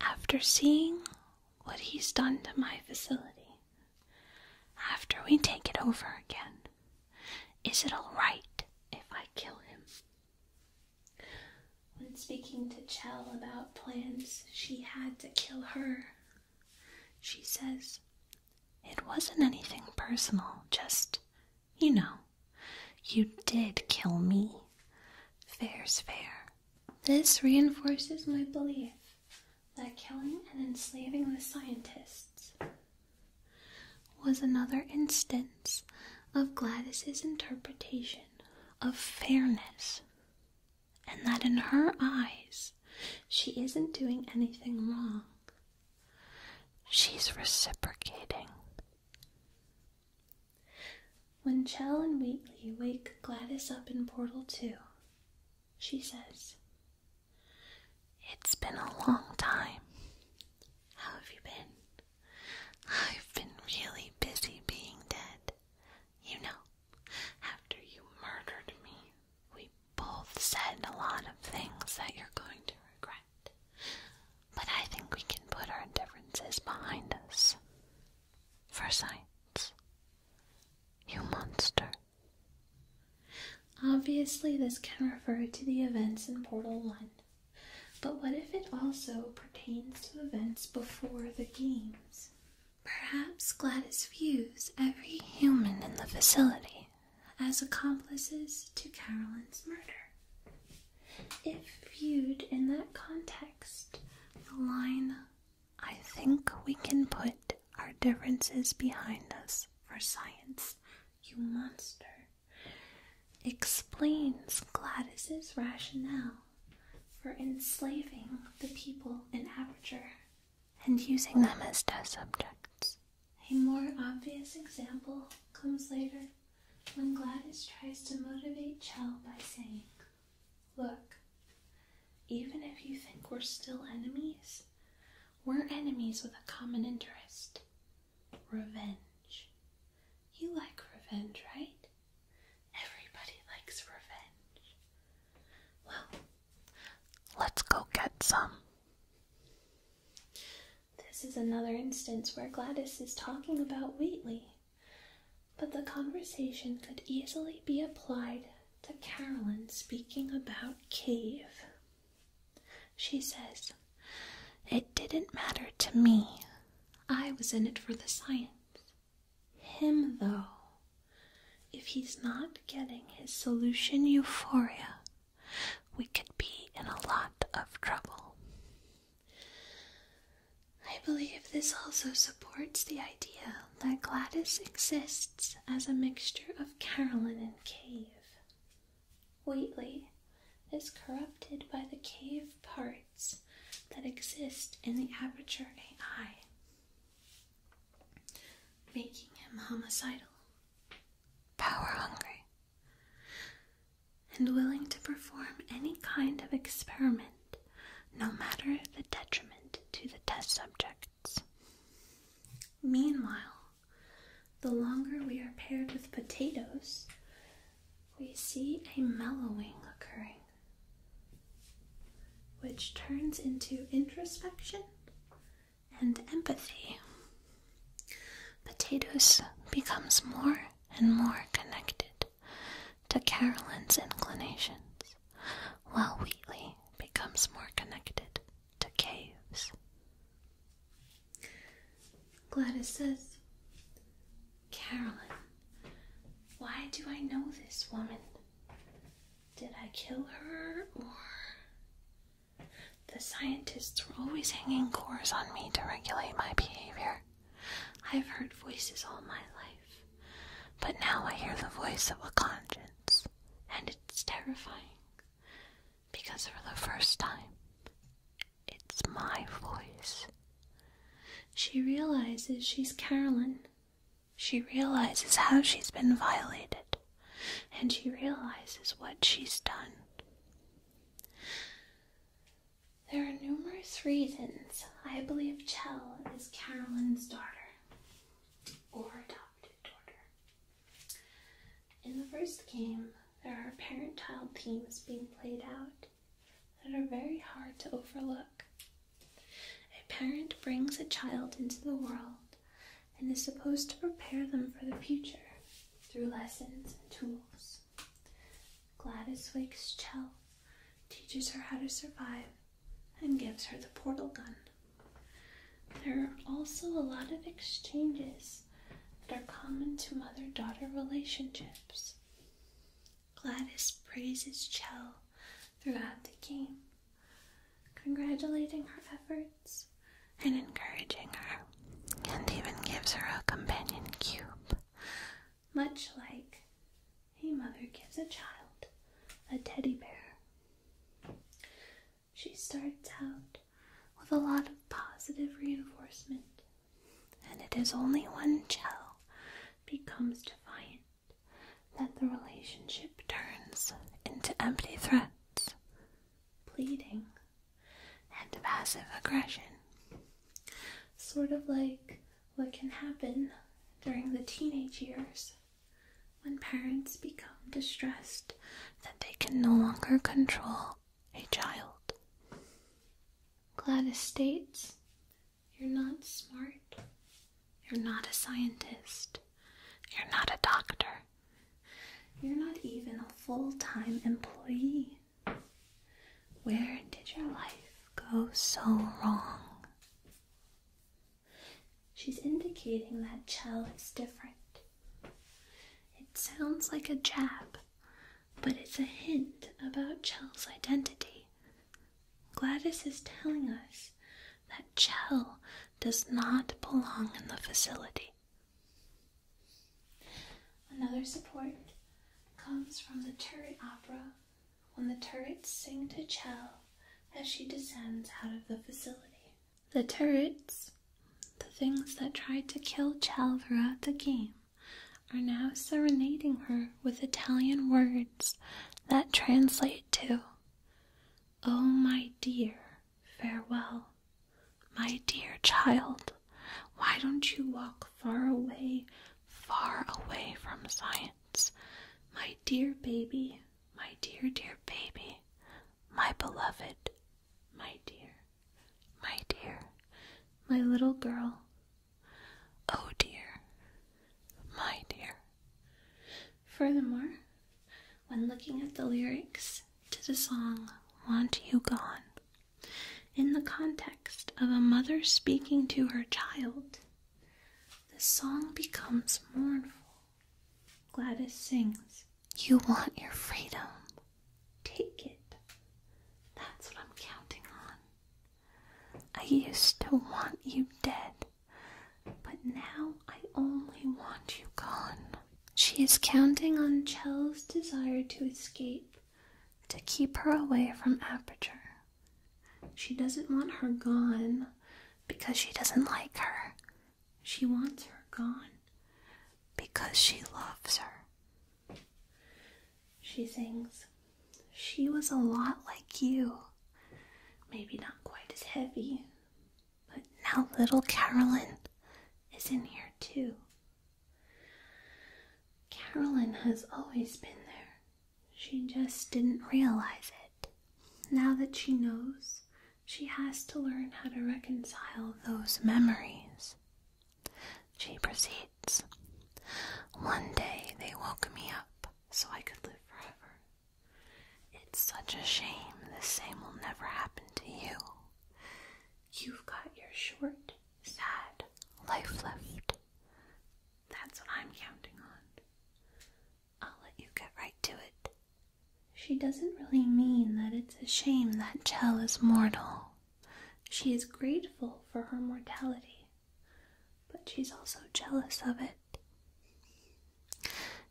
After seeing what he's done to my facility, after we take it over again, is it all right if I kill him? When speaking to Chell about plans she had to kill her, she says, It wasn't anything personal, just, you know, you did kill me. Fair's fair. This reinforces my belief that killing and enslaving the scientists was another instance of Gladys's interpretation of fairness, and that in her eyes she isn't doing anything wrong. She's reciprocating. When Chell and Wheatley wake Gladys up in Portal 2, she says, It's been a long time. How have you been? I've been really busy being dead. You know, after you murdered me, we both said a lot of things that you're going to regret. But I think we can put our differences behind us. For science. You monster. Obviously, this can refer to the events in Portal 1. But what if it also pertains to events before the games? Perhaps Gladys views every human in the facility as accomplices to Carolyn's murder. If viewed in that context, the line, I think we can put our differences behind us for science, you monster, explains Gladys's rationale for enslaving the people in Aperture and using them as test subjects. A more obvious example comes later when Gladys tries to motivate Chell by saying, Look, even if you think we're still enemies, we're enemies with a common interest revenge. You like revenge, right? Everybody likes revenge. Well, let's go get some. This is another instance where Gladys is talking about Wheatley, but the conversation could easily be applied to Carolyn speaking about Cave. She says, It didn't matter to me. I was in it for the science. Him, though, if he's not getting his solution euphoria, we could be in a lot of trouble. I believe this also supports the idea that Gladys exists as a mixture of Carolyn and Cave. Whately is corrupted by the cave part that exist in the Aperture AI, making him homicidal, power hungry, and willing to perform any kind of experiment, no matter the detriment to the test subjects. Meanwhile, the longer we are paired with potatoes, we see a mellowing occurring which turns into introspection and empathy. Potatoes becomes more and more connected to Carolyn's inclinations, while Wheatley becomes more connected to caves. Gladys says, Carolyn, why do I know this woman? Did I kill her or. The scientists were always hanging cores on me to regulate my behavior. I've heard voices all my life, but now I hear the voice of a conscience, and it's terrifying. Because for the first time, it's my voice. She realizes she's Carolyn. She realizes how she's been violated, and she realizes what she's done. There are numerous reasons I believe Chell is Carolyn's daughter or adopted daughter. In the first game, there are parent child themes being played out that are very hard to overlook. A parent brings a child into the world and is supposed to prepare them for the future through lessons and tools. Gladys wakes Chell, teaches her how to survive, and gives her the portal gun. There are also a lot of exchanges that are common to mother daughter relationships. Gladys praises Chell throughout the game, congratulating her efforts and encouraging her, and even gives her a companion cube, much like a mother gives a child a teddy bear. She starts out with a lot of positive reinforcement and it is only when Chell becomes defiant that the relationship turns into empty threats, pleading, and passive aggression. Sort of like what can happen during the teenage years when parents become distressed that they can no longer control a child. Gladys states you're not smart. You're not a scientist. You're not a doctor. You're not even a full time employee. Where did your life go so wrong? She's indicating that Chell is different. It sounds like a jab, but it's a hint about Chell's identity. Gladys is telling us that Chell does not belong in the facility. Another support comes from the turret opera when the turrets sing to Chell as she descends out of the facility. The turrets, the things that tried to kill Chell throughout the game, are now serenading her with Italian words that translate to, Oh, my dear, farewell. My dear child, why don't you walk far away, far away from science? My dear baby, my dear, dear baby, my beloved, my dear, my dear, my little girl, Oh dear, my dear. Furthermore, when looking at the lyrics to the song Want You Gone, in the context of a mother speaking to her child, the song becomes mournful. Gladys sings, You want your freedom. Take it. That's what I'm counting on. I used to want you dead, but now I only want you gone. She is counting on Chell's desire to escape to keep her away from Aperture. She doesn't want her gone because she doesn't like her. She wants her gone because she loves her. She sings, She was a lot like you. Maybe not quite as heavy, but now little Carolyn is in here too. Carolyn has always been there. She just didn't realize it. Now that she knows, she has to learn how to reconcile those memories. She proceeds. One day they woke me up so I could live forever. It's such a shame the same will never happen to you. You've got your short, sad life left. That's what I'm counting on. I'll let you get right to it. She doesn't really mean that it's a shame that Chell is mortal. She is grateful for her mortality but she's also jealous of it.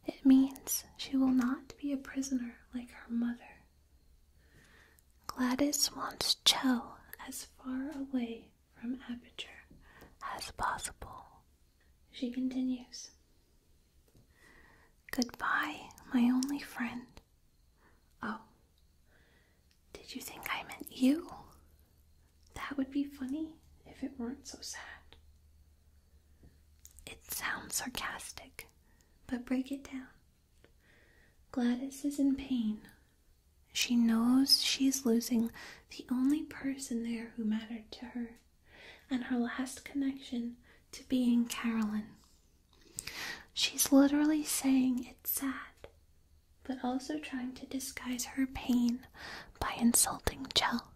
It means she will not be a prisoner like her mother. Gladys wants Chell as far away from Aperture as possible. She continues. Goodbye, my only friend. Oh, did you think I meant you? That would be funny if it weren't so sad. It sounds sarcastic, but break it down. Gladys is in pain. She knows she's losing the only person there who mattered to her and her last connection to being Carolyn. She's literally saying it's sad but also trying to disguise her pain by insulting Chell.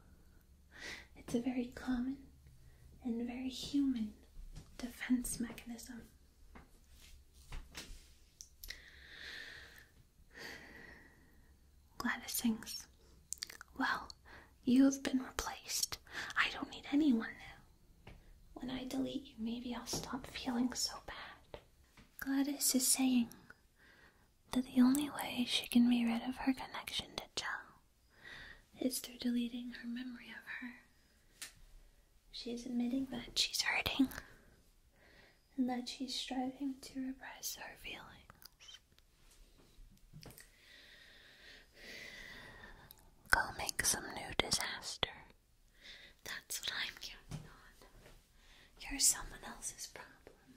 It's a very common and very human defense mechanism. Gladys sings, Well, you have been replaced. I don't need anyone now. When I delete you, maybe I'll stop feeling so bad. Gladys is saying, that the only way she can be rid of her connection to Joe is through deleting her memory of her. She's admitting that she's hurting and that she's striving to repress her feelings. Go make some new disaster. That's what I'm counting on. You're someone else's problem.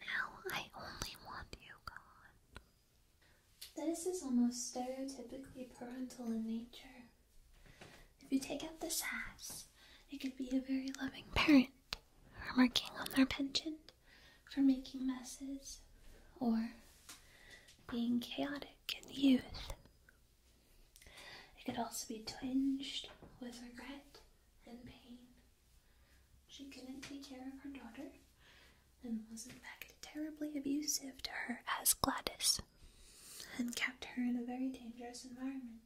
Now I only want you gone. This is almost stereotypically parental in nature. If you take out the sass, it could be a very loving parent remarking on their pension, for making messes or being chaotic in the youth it could also be tinged with regret and pain. She couldn't take care of her daughter and was, in fact, terribly abusive to her as Gladys and kept her in a very dangerous environment.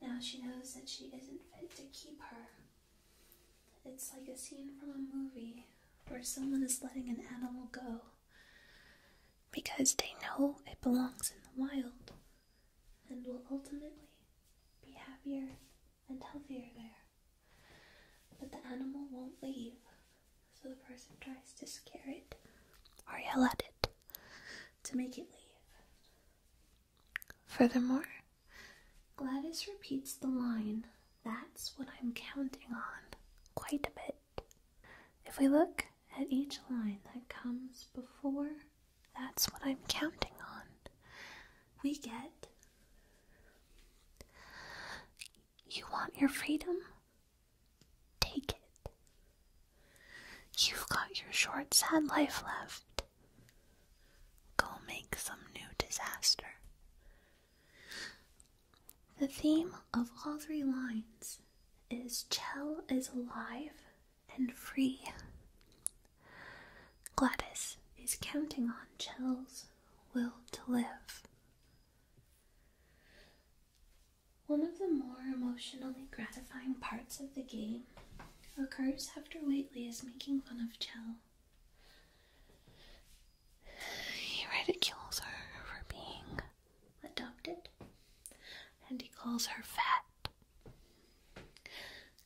Now she knows that she isn't fit to keep her. It's like a scene from a movie where someone is letting an animal go because they know it belongs in the wild and will ultimately be happier and healthier there. But the animal won't leave, so the person tries to scare it or yell at it to make it leave. Furthermore, Gladys repeats the line, That's what I'm counting on, quite a bit. If we look at each line that comes before, that's what I'm counting on. We get. You want your freedom? Take it. You've got your short, sad life left. Go make some new disaster. The theme of all three lines is Chell is alive and free. Gladys is counting on Chell's will to live. One of the more emotionally gratifying parts of the game occurs after Waitley is making fun of Chell. He ridicules her for being adopted, and he calls her fat.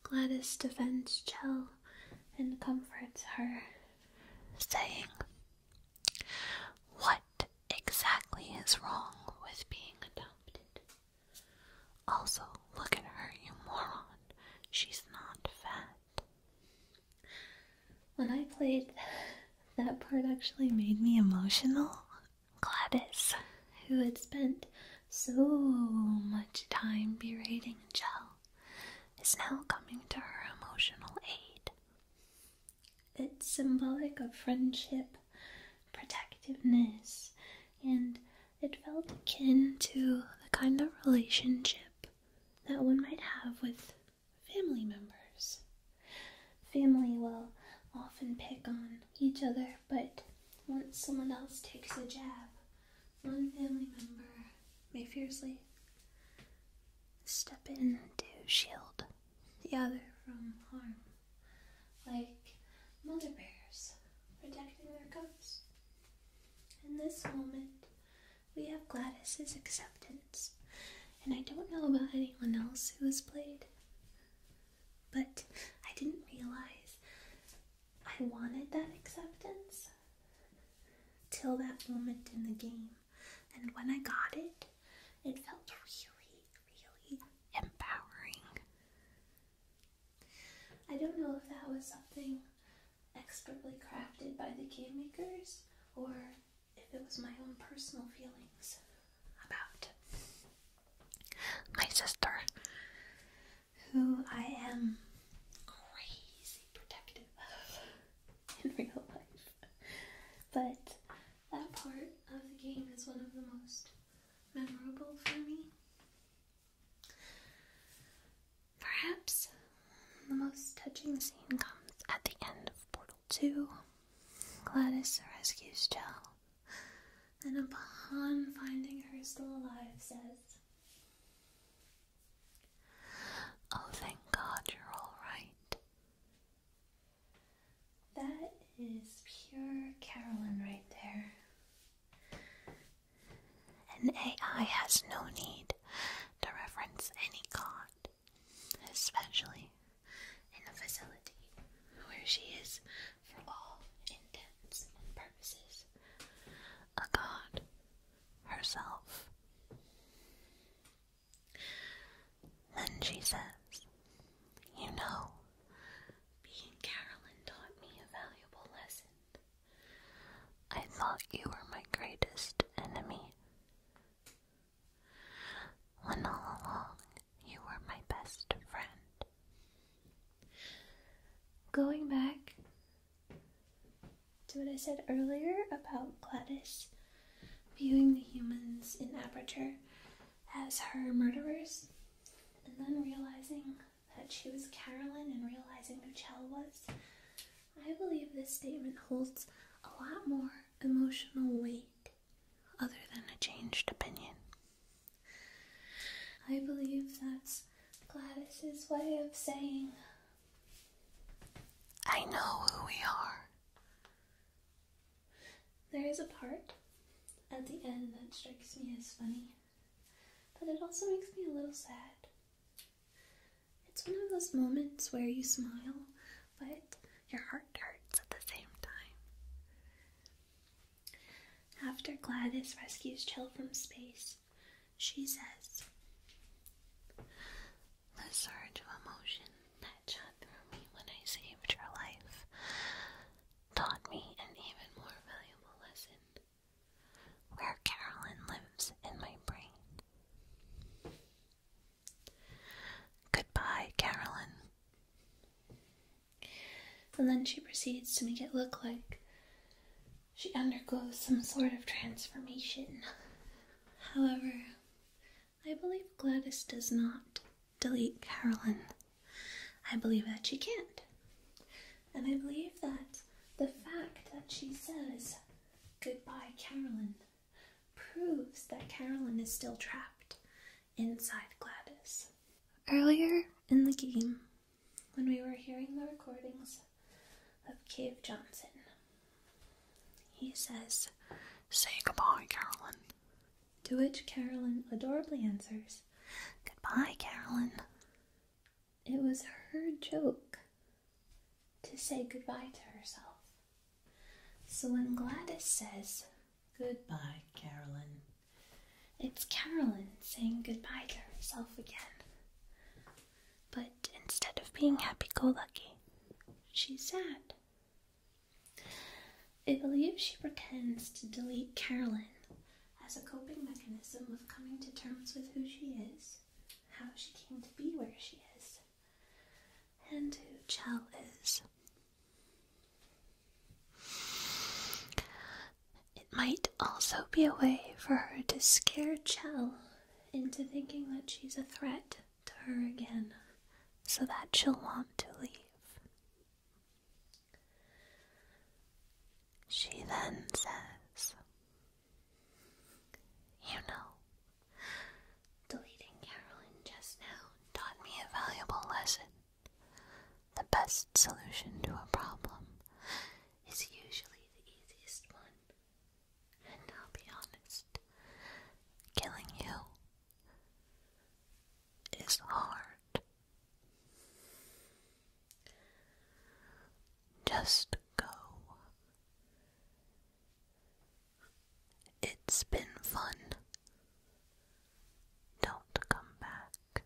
Gladys defends Chell and comforts her, saying, What exactly is wrong with being adopted? Also, look at her, you moron. She's not fat. When I played, that part actually made me emotional. Gladys, who had spent so much time berating Jell, is now coming to her emotional aid. It's symbolic of friendship, protectiveness, and it felt akin to the kind of relationship that one might have with family members. Family will often pick on each other, but once someone else takes a jab, one family member may fiercely step in to shield the other from harm, like mother bears protecting their cubs. In this moment, we have Gladys's acceptance, and I don't know about anyone else who has played but I didn't realize I wanted that acceptance till that moment in the game. And when I got it, it felt really, really empowering. I don't know if that was something expertly crafted by the game makers or if it was my own personal feelings about my sister, who I am crazy protective in real life. But that part of the game is one of the most memorable for me. Perhaps the most touching scene comes at the end of Portal 2. Gladys rescues Jill and upon finding her still alive, says, Oh, thank God you're all right. That is pure Carolyn right there. An AI has no need to reference any God, especially in a facility where she is, for all intents and purposes, a god herself. Then she says, You know, being Carolyn taught me a valuable lesson. I thought you were my greatest enemy. When all along you were my best friend. Going back to what I said earlier about Gladys viewing the humans in Aperture as her murderers, and then realizing that she was Carolyn and realizing who Chell was, I believe this statement holds a lot more emotional weight other than a changed opinion. I believe that's Gladys's way of saying, I know who we are. There is a part at the end that strikes me as funny, but it also makes me a little sad. It's one of those moments where you smile, but your heart hurts at the same time. After Gladys rescues Chill from space, she says, The surge of emotion that shot through me when I saved her life taught me an even more valuable lesson where Carolyn lives in my brain. Goodbye, Carolyn. And then she proceeds to make it look like she undergoes some sort of transformation. However, I believe Gladys does not delete Carolyn. I believe that she can't. And I believe that the fact that she says goodbye, Carolyn, proves that Carolyn is still trapped inside Gladys. Earlier in the game, when we were hearing the recordings of Cave Johnson, he says, Say goodbye, Carolyn. To which Carolyn adorably answers, Goodbye, Carolyn. It was her joke to say goodbye to herself. So when Gladys says, Goodbye, Carolyn. It's Carolyn saying goodbye to herself again. But instead of being happy go lucky, she's sad. I believe she pretends to delete Carolyn as a coping mechanism of coming to terms with who she is, how she came to be where she is, and who Chell is. It might also be a way for her to scare Chell into thinking that she's a threat to her again, so that she'll want to leave. She then says, You know, deleting Carolyn just now taught me a valuable lesson. The best solution to a problem is usually the easiest one. And I'll be honest, killing you is hard. Just go. It's been fun. Don't come back.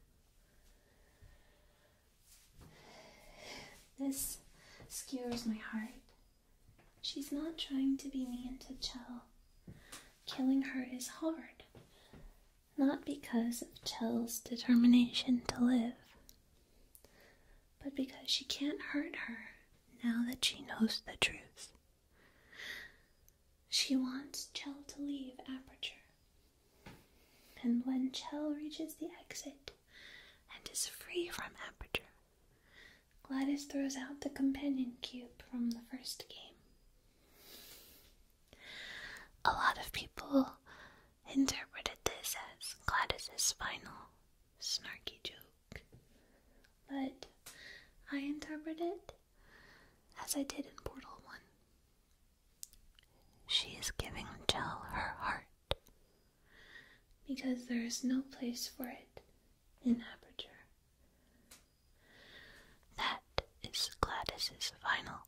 This skewers my heart. She's not trying to be mean to Chell. Killing her is hard. Not because of Chell's determination to live, but because she can't hurt her now that she knows the truth. She wants Chell to leave Aperture. And when Chell reaches the exit and is free from Aperture, Gladys throws out the companion cube from the first game. A lot of people interpreted this as Gladys's final snarky joke, but I interpret it as I did in Portal 1. She is giving Jill her heart because there is no place for it in Aperture. That is Gladys's final.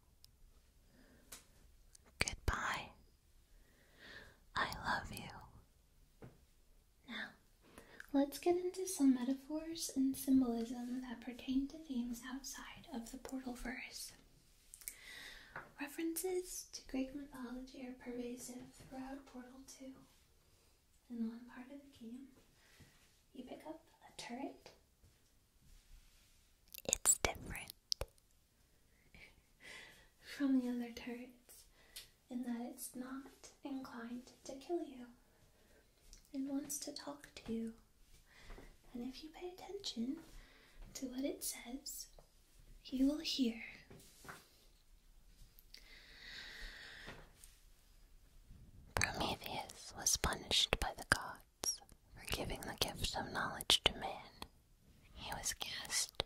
Goodbye. I love you. Now, let's get into some metaphors and symbolism that pertain to themes outside of the portal verse. References to Greek mythology are pervasive throughout Portal 2. In one part of the game, you pick up a turret. It's different from the other turrets in that it's not inclined to kill you and wants to talk to you. And if you pay attention to what it says, you will hear. Prometheus was punished by the gods for giving the gift of knowledge to man. He was cast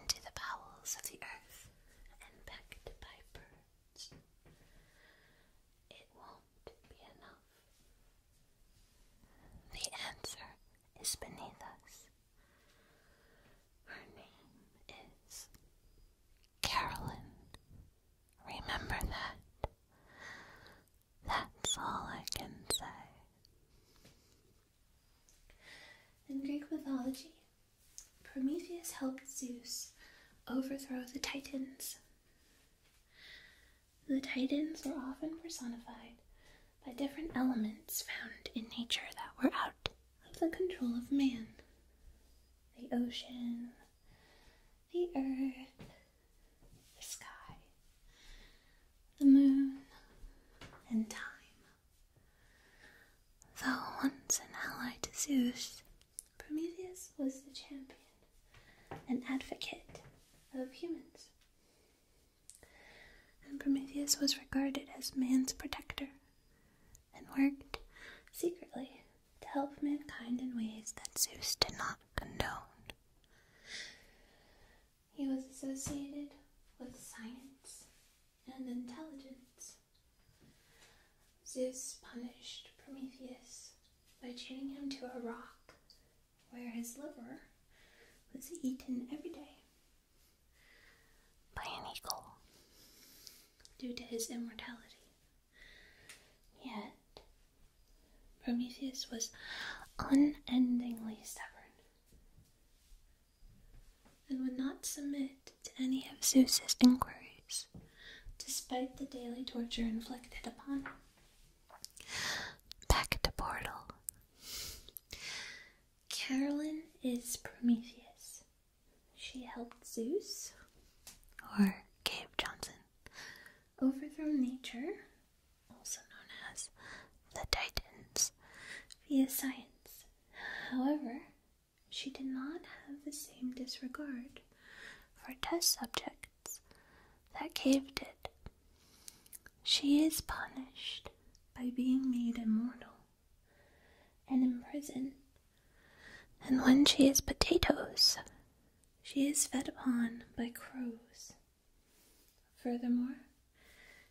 into the bowels of the earth and pecked by birds. It will will be enough. The answer is beneath us. Her name is Carolyn. Remember that. That's all I can say. In Greek mythology, Prometheus helped Zeus overthrow the Titans. The Titans were often personified by different elements found in nature that were out of the control of man the ocean, the earth, the sky, the moon, and time. Though once an ally to Zeus, Prometheus was the champion and advocate of humans, and Prometheus was regarded as man's protector and worked secretly to help mankind in ways that Zeus did not condone. He was associated with science and intelligence. Zeus punished Prometheus by chaining him to a rock where his liver was eaten every day by an eagle due to his immortality. Yet, Prometheus was unendingly stubborn and would not submit to any of Zeus's inquiries, despite the daily torture inflicted upon him. Back to Portal. Carolyn is Prometheus. She helped Zeus, or Cave Johnson, overthrow nature, also known as the Titans, via science. However, she did not have the same disregard for test subjects that Cave did. She is punished by being made immortal and imprisoned. And when she is potatoes, she is fed upon by crows. Furthermore,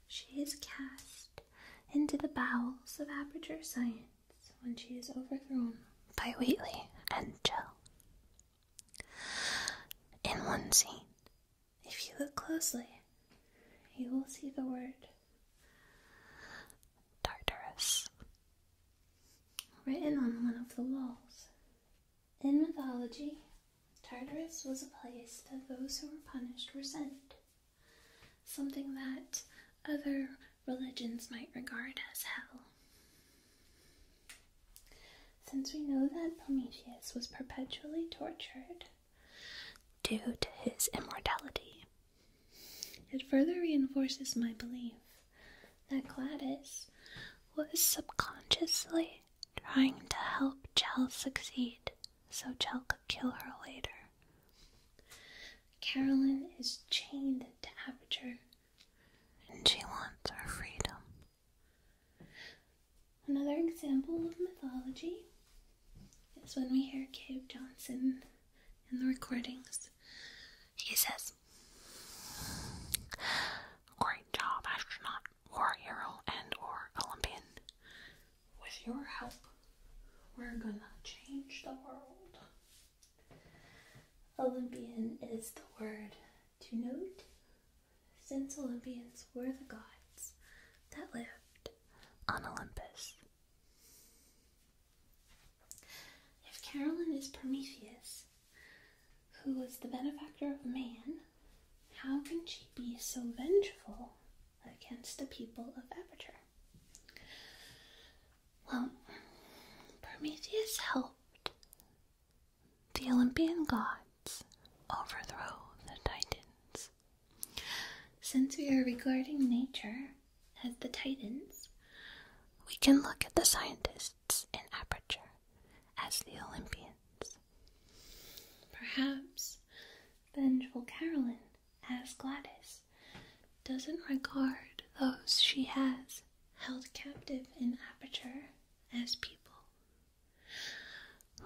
she is cast into the bowels of aperture science when she is overthrown by Wheatley and Joe. In one scene, if you look closely, you will see the word Tartarus written on one of the walls. In mythology, Tartarus was a place that those who were punished were sent, something that other religions might regard as hell. Since we know that Prometheus was perpetually tortured due to his immortality, it further reinforces my belief that Gladys was subconsciously trying to help Chell succeed so Chell could kill her later. Carolyn is chained to Aperture and she wants her freedom. Another example of mythology is when we hear Cave Johnson in the recordings. He says, Great job, astronaut, war hero, and or Olympian. With your help, we're gonna change the world. Olympian is the word to note, since Olympians were the gods that lived on Olympus. If Carolyn is Prometheus, who was the benefactor of man, how can she be so vengeful against the people of Aperture? Well, Prometheus helped the Olympian gods overthrow the Titans. Since we are regarding nature as the Titans, we can look at the scientists in aperture as the Olympians. Perhaps vengeful Caroline as Gladys doesn't regard those she has held captive in aperture as people.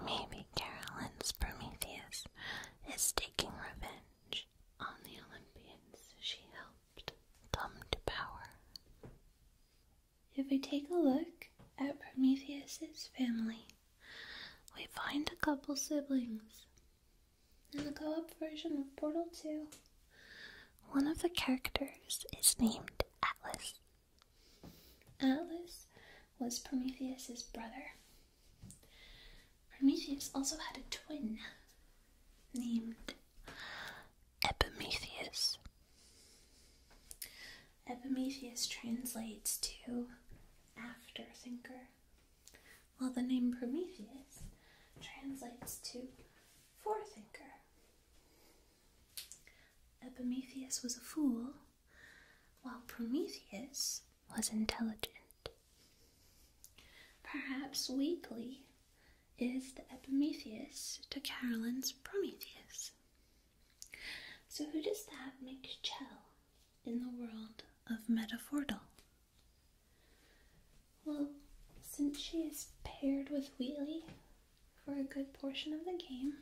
Maybe Carolyn's Prometheus is taking revenge on the Olympians she helped come to power. If we take a look at Prometheus's family, we find a couple siblings. In the co op version of Portal 2, one of the characters is named Atlas. Atlas was Prometheus's brother. Prometheus also had a twin named Epimetheus. Epimetheus translates to afterthinker, while the name Prometheus translates to forethinker. Epimetheus was a fool, while Prometheus was intelligent. Perhaps Weekly is the Epimetheus to Carolyn's Prometheus. So, who does that make Chell in the world of Metaphordal? Well, since she is paired with Wheatley, for a good portion of the game,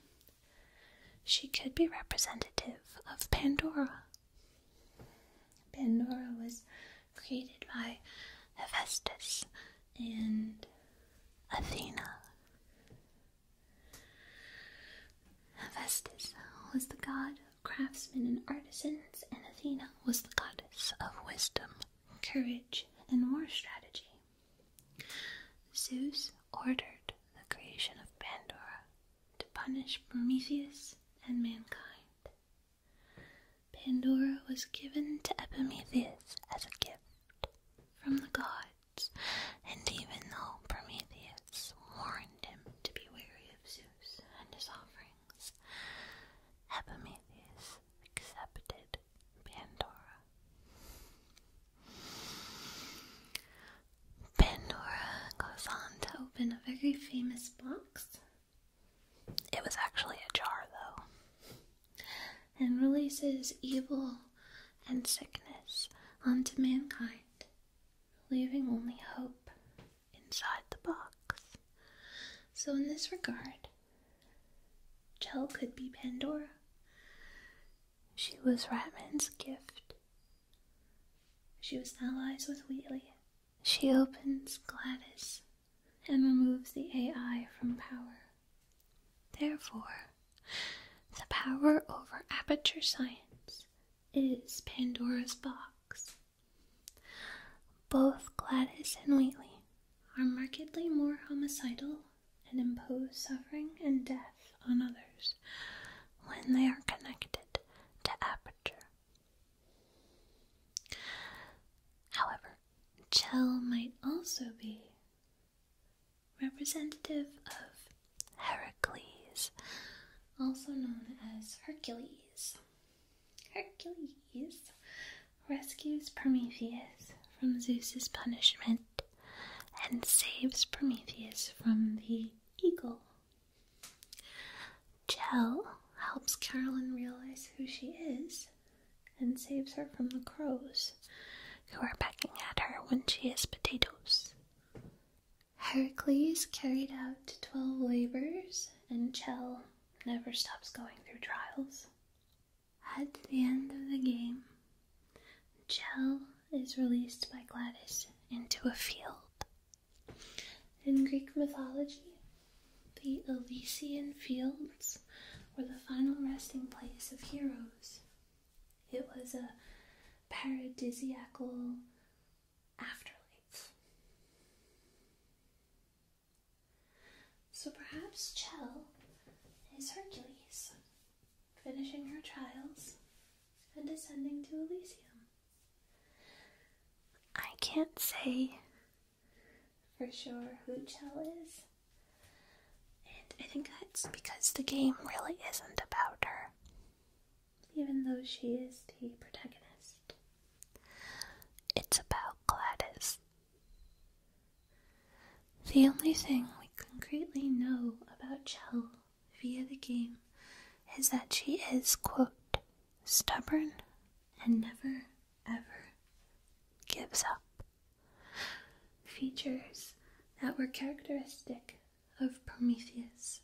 she could be representative of Pandora. Pandora was created by Hephaestus and Athena. Hephaestus was the god of craftsmen and artisans, and Athena was the goddess of wisdom, courage, and war strategy. Zeus ordered the creation of Pandora to punish Prometheus and mankind. Pandora was given to Epimetheus as a gift from the gods, and even though Prometheus warned him to be wary of Zeus and his offerings, Epimetheus accepted Pandora. Pandora goes on to open a very famous box. It was actually a jar, though. And releases evil and sickness onto mankind, leaving only hope inside the box. So, in this regard, Jell could be Pandora. She was Ratman's gift. She was allies with Wheatley. She opens Gladys and removes the AI from power. Therefore, the power over aperture science is Pandora's box. Both Gladys and Wheatley are markedly more homicidal and impose suffering and death on others when they are connected to aperture. However, Chell might also be representative of Heracles, also known as Hercules. Hercules rescues Prometheus from Zeus's punishment and saves Prometheus from the eagle. Chell helps Carolyn realize who she is and saves her from the crows who are pecking at her when she has potatoes. Heracles carried out 12 labors, and Chell never stops going through trials. At the end of the game, Gel is released by Gladys into a field. In Greek mythology, the Elysian Fields were the final resting place of heroes. It was a paradisiacal afterlife. So perhaps Chell is Hercules, finishing her trials and descending to Elysium. I can't say for sure who Chell is. And I think that's because the game really isn't about her, even though she is the protagonist. It's about Gladys, the only thing we concretely know about Chell via the game is that she is, quote, stubborn and never ever gives up. Features that were characteristic of Prometheus.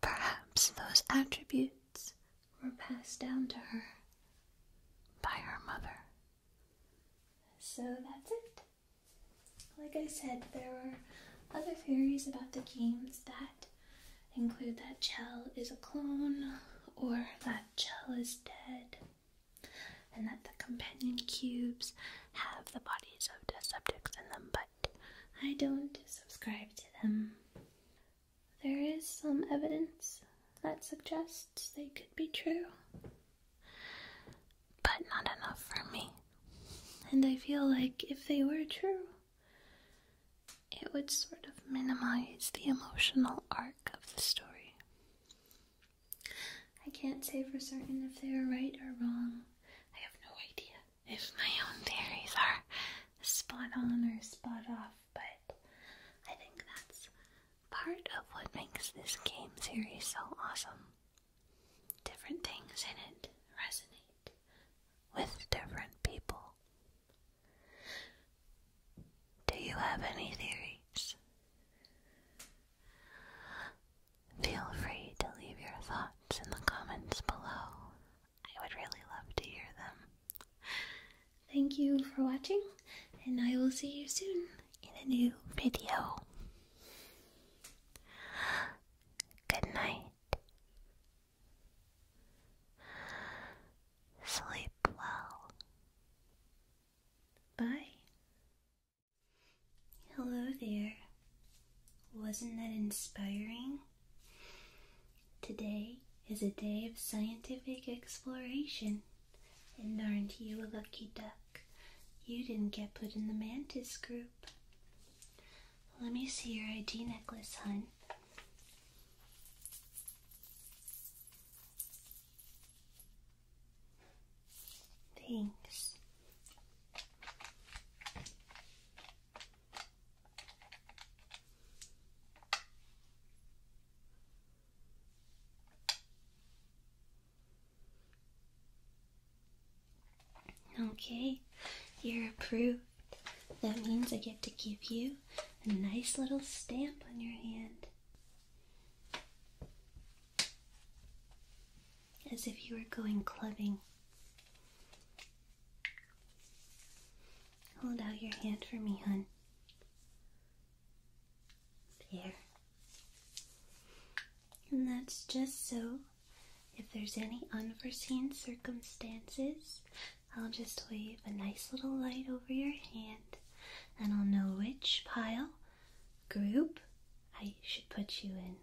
Perhaps those attributes were passed down to her by her mother. So that's it. Like I said, there are other theories about the games that include that Chell is a clone, or that Chell is dead, and that the companion cubes have the bodies of the subjects in them, but I don't subscribe to them there is some evidence that suggests they could be true. But not enough for me. And I feel like if they were true, it would sort of minimize the emotional arc of the story. I can't say for certain if they are right or wrong. I have no idea if my own theories are spot on or spot off, but I think that's part of what makes this game series so awesome. Different things in it resonate with different people. Do you have any theories? Feel free to leave your thoughts in the comments below. I would really love to hear them. Thank you for watching, and I will see you soon in a new video. Good night. Sleep well. Bye. Hello there. Wasn't that inspiring? Today is a day of scientific exploration. And aren't you a lucky duck? You didn't get put in the mantis group. Let me see your ID necklace, hun. Thanks. Okay, you're approved. That means I get to give you a nice little stamp on your hand. As if you were going clubbing. Hold out your hand for me, hun. Here. And that's just so if there's any unforeseen circumstances, I'll just wave a nice little light over your hand and I'll know which pile group I should put you in.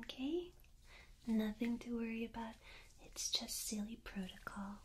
Okay? Nothing to worry about. It's just silly protocol.